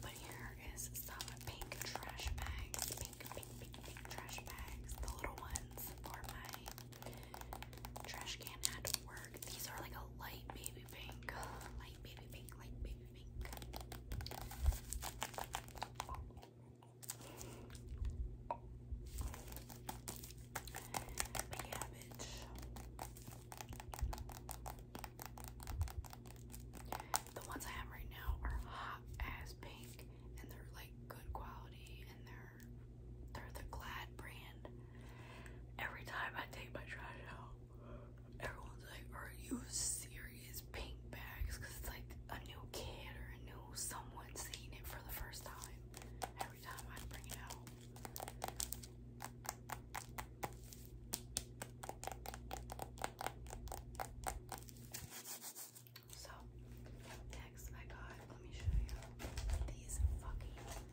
But here is some pink trash bags. Pink, pink, pink, pink trash bags. The little ones for my trash can at work. These are like a light baby baby pink, light baby pink, light baby pink. The ones I have right now are hot ass pink, and they're like good quality, and they're they're the Glad brand. Every time I take my trash out, everyone's like, are you serious? Pink bags, because it's like a new kid or a new someone seeing it for the first time every time I bring it out. So, next I got, let me show you these fucking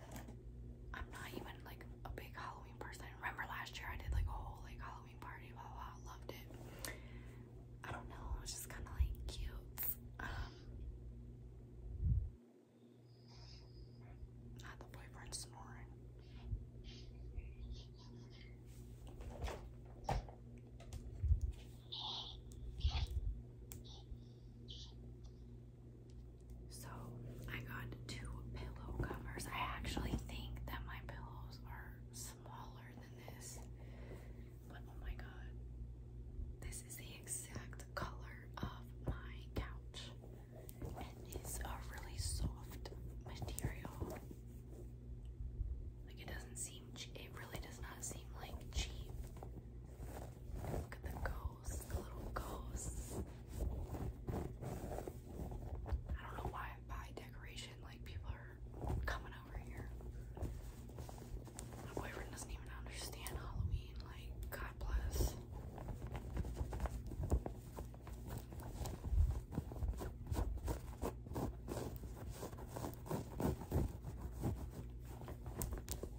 I'm not even like a big Halloween person. remember last year I did like a whole like Halloween party, blah blah, loved it. I don't know, it was just kind of like cute. Um, not the boyfriend snoring. So I got two pillow covers. I actually think that my pillows are smaller than this. But oh my god. This is the exact color of my couch. And it's a really soft material. Like it doesn't seem, it really does not seem like cheap. Look at the gold little ghosts. I don't know why I decoration, like people are coming over here. My boyfriend doesn't even understand Halloween, like, God bless.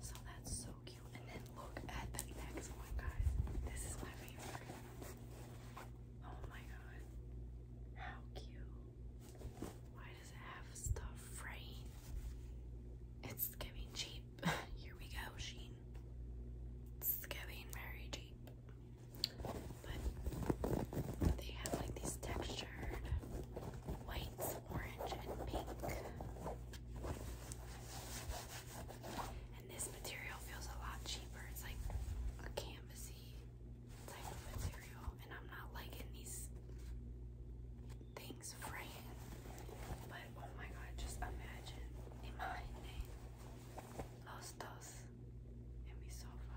So that's so cute. And then look at the next one, guys. This is my favorite. Oh my god. How cute. Why does it have stuff fraying? It's getting cheap. *laughs* Here we go, Sheen. It's giving very cheap. But they have like these textured whites, orange, and pink this material feels a lot cheaper. It's like a canvasy type of material. And I'm not liking these things fraying. But oh my god, just imagine. Imagine. Los And we sofa.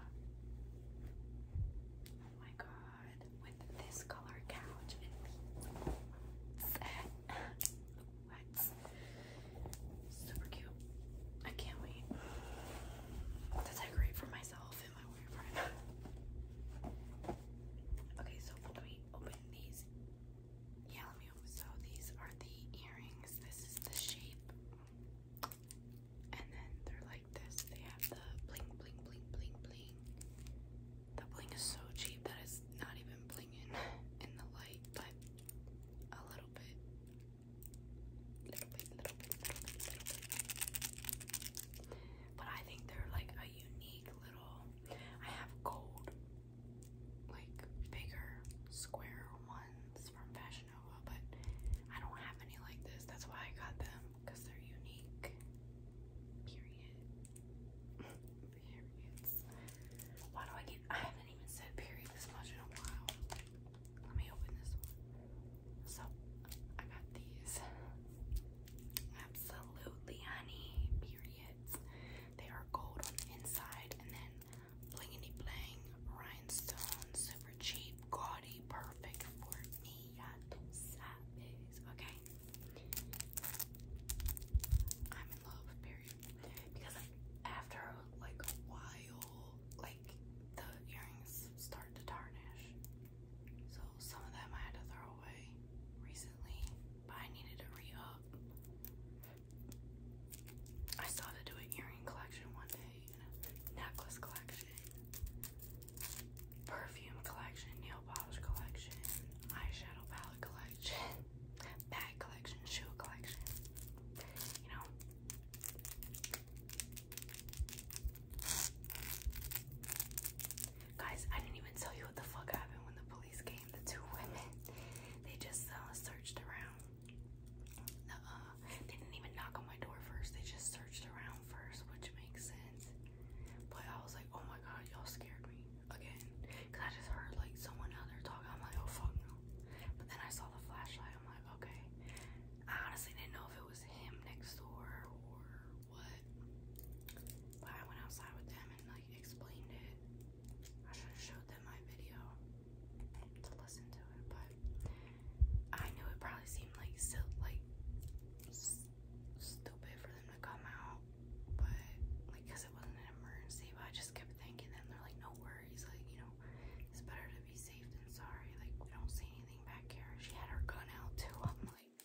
Oh my god. With this color couch and wax. Super cute. I can't wait to decorate for myself and my boyfriend. Okay, so let open these. Yeah, let me open. So these are the earrings. This is the shape. And then they're like this. They have the bling, bling, bling, bling, bling. The bling is so cheap that it's not even blinging *laughs* in the light, but a little bit, little bit, little bit, little bit, But I think they're like a unique little. I have gold, like bigger square ones from Fashion Nova, but I don't have any like this. That's why I got them because they're unique. Period. *laughs* periods. Why do I get? I haven't even said period this much in a while. Let me open this So I got these. Absolutely, honey. Periods. They are gold on the inside, and then blingity bling rhinestone, super cheap, gaudy, perfect for me. Okay love period because after like a while like the earrings start to tarnish so some of them I had to throw away recently but I needed to re I still had do an earring collection one day and a necklace collection perfume collection nail polish collection eyeshadow palette collection bag collection, shoe collection, you know. Guys, I didn't even tell you what the fuck happened when the police came. The two *laughs* women, they just uh, searched around. Uh, they didn't even knock on my door first. They just searched around first, which makes sense. But I was like, oh my god, y'all scared me again because I just heard like someone out there talking. I'm like, oh fuck no. But then I saw the flashlight. I'm like, okay. I honestly didn't know if it was him next door or what. But I went outside with them and like explained it. I should have showed them my video to listen to it, but I knew it probably seemed like so like. stupid for them to come out but like because it wasn't an emergency I just kept thinking that they're like no worries like you know it's better to be safe than sorry like we don't see anything back here she had her gun out too I'm like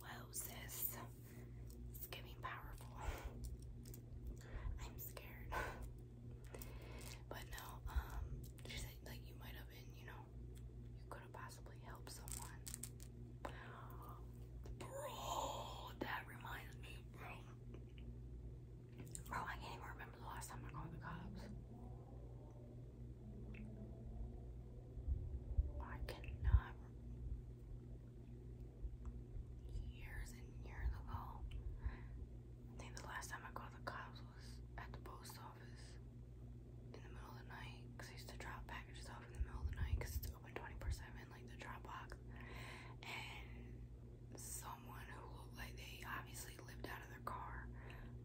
whoa sis it's getting powerful I'm scared but no um she said like you might have been you know you could have possibly helped someone Bro, that reminds me, Bro, oh, I can't even remember the last time I called the cops. I cannot. Years and years ago. I think the last time I called the cops was at the post office in the middle of the night. Because I used to drop packages off in the middle of the night because it's open 24 7 like the Dropbox, and someone who looked like they obviously lived out of their car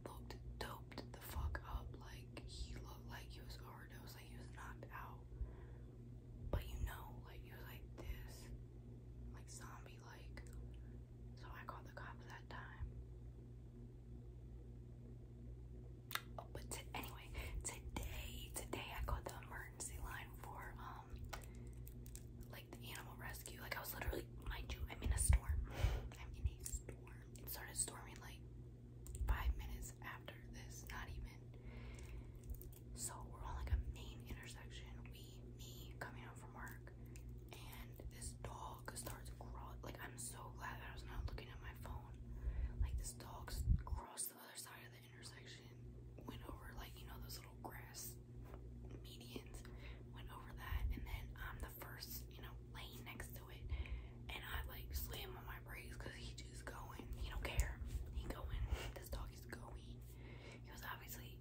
looked doped the fuck up. Like he looked like he was hard. was like he was knocked out. But you know, like he was like this, like zombie like. So I called the cops that time. but anyway, today, today I called the emergency line for um um, like the animal rescue. Like I was literally, mind you, I'm in a storm. I'm in a storm. It started storming like five minutes after this, not even. So we're on like a main intersection. We, me, coming home from work, and this dog starts crawling. Like I'm so glad that I was not looking at my phone. Like this dog's cross the other side of the intersection, went over like you know those little grass medians, went over that, and then I'm the first you know lane next to it, and I like slam on my brakes because he just going, he don't care, he going. This dog is going. He was obviously,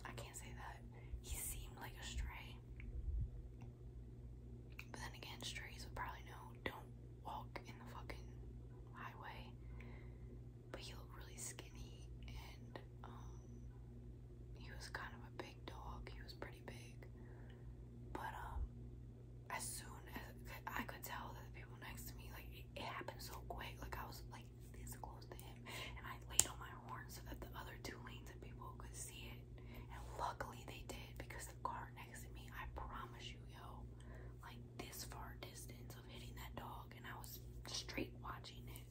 I can't say that. He seemed like a stray, but then again, strays would probably know don't walk in the fucking highway but he looked really skinny and um he was kind of a big dog. He was pretty big. But um as soon as I could tell that the people next to me like it, it happened so quick. Like I was like this close to him and I laid on my horn so that the other two lanes of people could see it. And luckily they did because the car next to me, I promise you, yo, like this far distance of hitting that dog and I was straight watching it.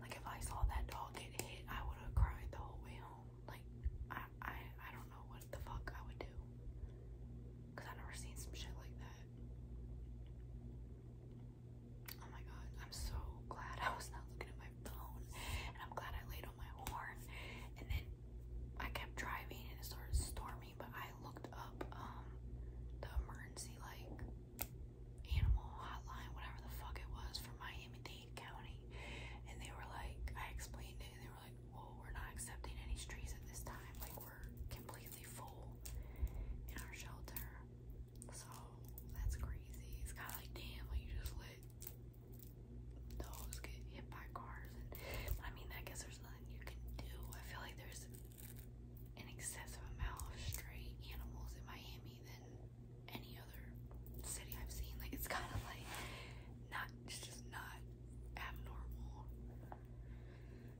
Like if I saw that dog get hit, I would have cried the whole way home. Like I I I don't know what the fuck I would do. Cause I've never seen some shit like that. Oh my god, I'm so glad *laughs* I was not looking at my phone and I'm glad I laid on my horn and then I kept driving and it started storming but I looked up um, the emergency like animal hotline, whatever the fuck it was for Miami Dade County, and they were like, I explained it, and they were like, well, we're not accepting any strays at this time, like we're completely full in our shelter. So that's crazy. It's kind of like damn, like you just let dogs get hit by cars, and I mean, I guess there's nothing you can do. I feel like there's an excessive amount of stray animals in Miami than any other city I've seen. Like it's kind of like not, just not abnormal.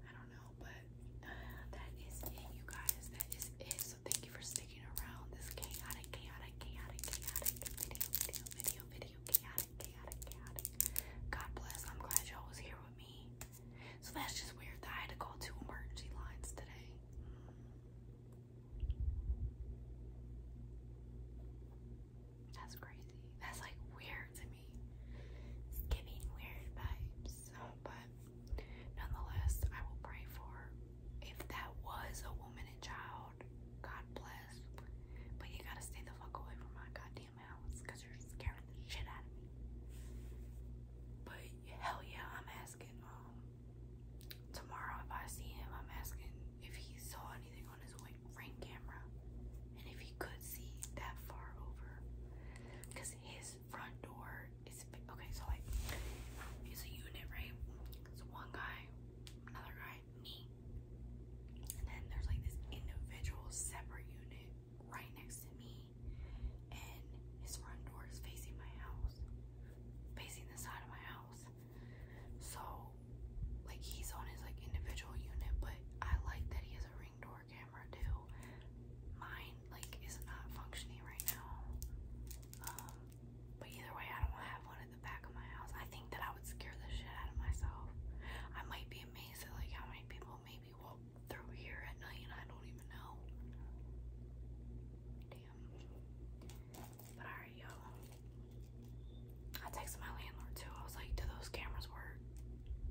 I don't know, but *sighs* that is it, you guys. That is it. So thank you for sticking around this chaotic, chaotic, chaotic, chaotic video, video, video, video, chaotic, chaotic, chaotic. God bless. I'm glad y'all was here with me. So that's just weird that I had to call two emergency lines today. That's crazy. That's like weird to me. It's giving weird vibes. but nonetheless, I will pray for if that was a woman and child, God bless. But you gotta stay the fuck away from my goddamn because you're scaring the shit out of me. But hell yeah, I'm asking um, tomorrow if I see him, I'm asking if he saw anything on his ring camera and if he could see that far over because his front door is okay. So like it's a unit, right? It's one guy, another guy, me, and then there's like this individual separate unit right next to me and his front door is facing my house, facing the side of my house. So, like, he's on his like individual unit, but I like that he has a ring door camera too. Mine like is not functioning right now. Um, but either way, I don't have one at the back of my house. I think that I would scare the shit out of myself. I might be amazed at like how many people maybe will through here at night I don't even know. Damn. But alright, you I texted my landlord too. I was like, do those cameras work?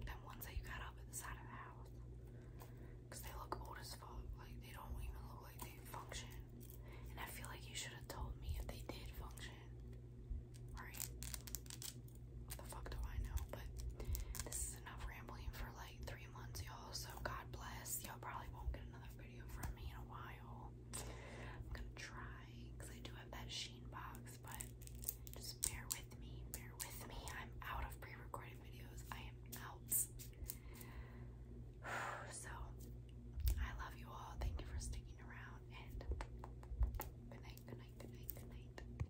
Them ones that you got up at the side of the house. they look old as fuck. Like, they don't even look like they function. And I feel like you should have told me if they did function. Alright the fuck do I know? But this is enough rambling for like three months, y'all. So God bless. Y'all probably won't get another video from me in a while. I'm gonna try I do have that Sheen box, but just bear with me. Bear with me. I'm out of pre recording videos. I am out. *sighs* So I love you all. Thank you for sticking around and good night, good night, good night, good night.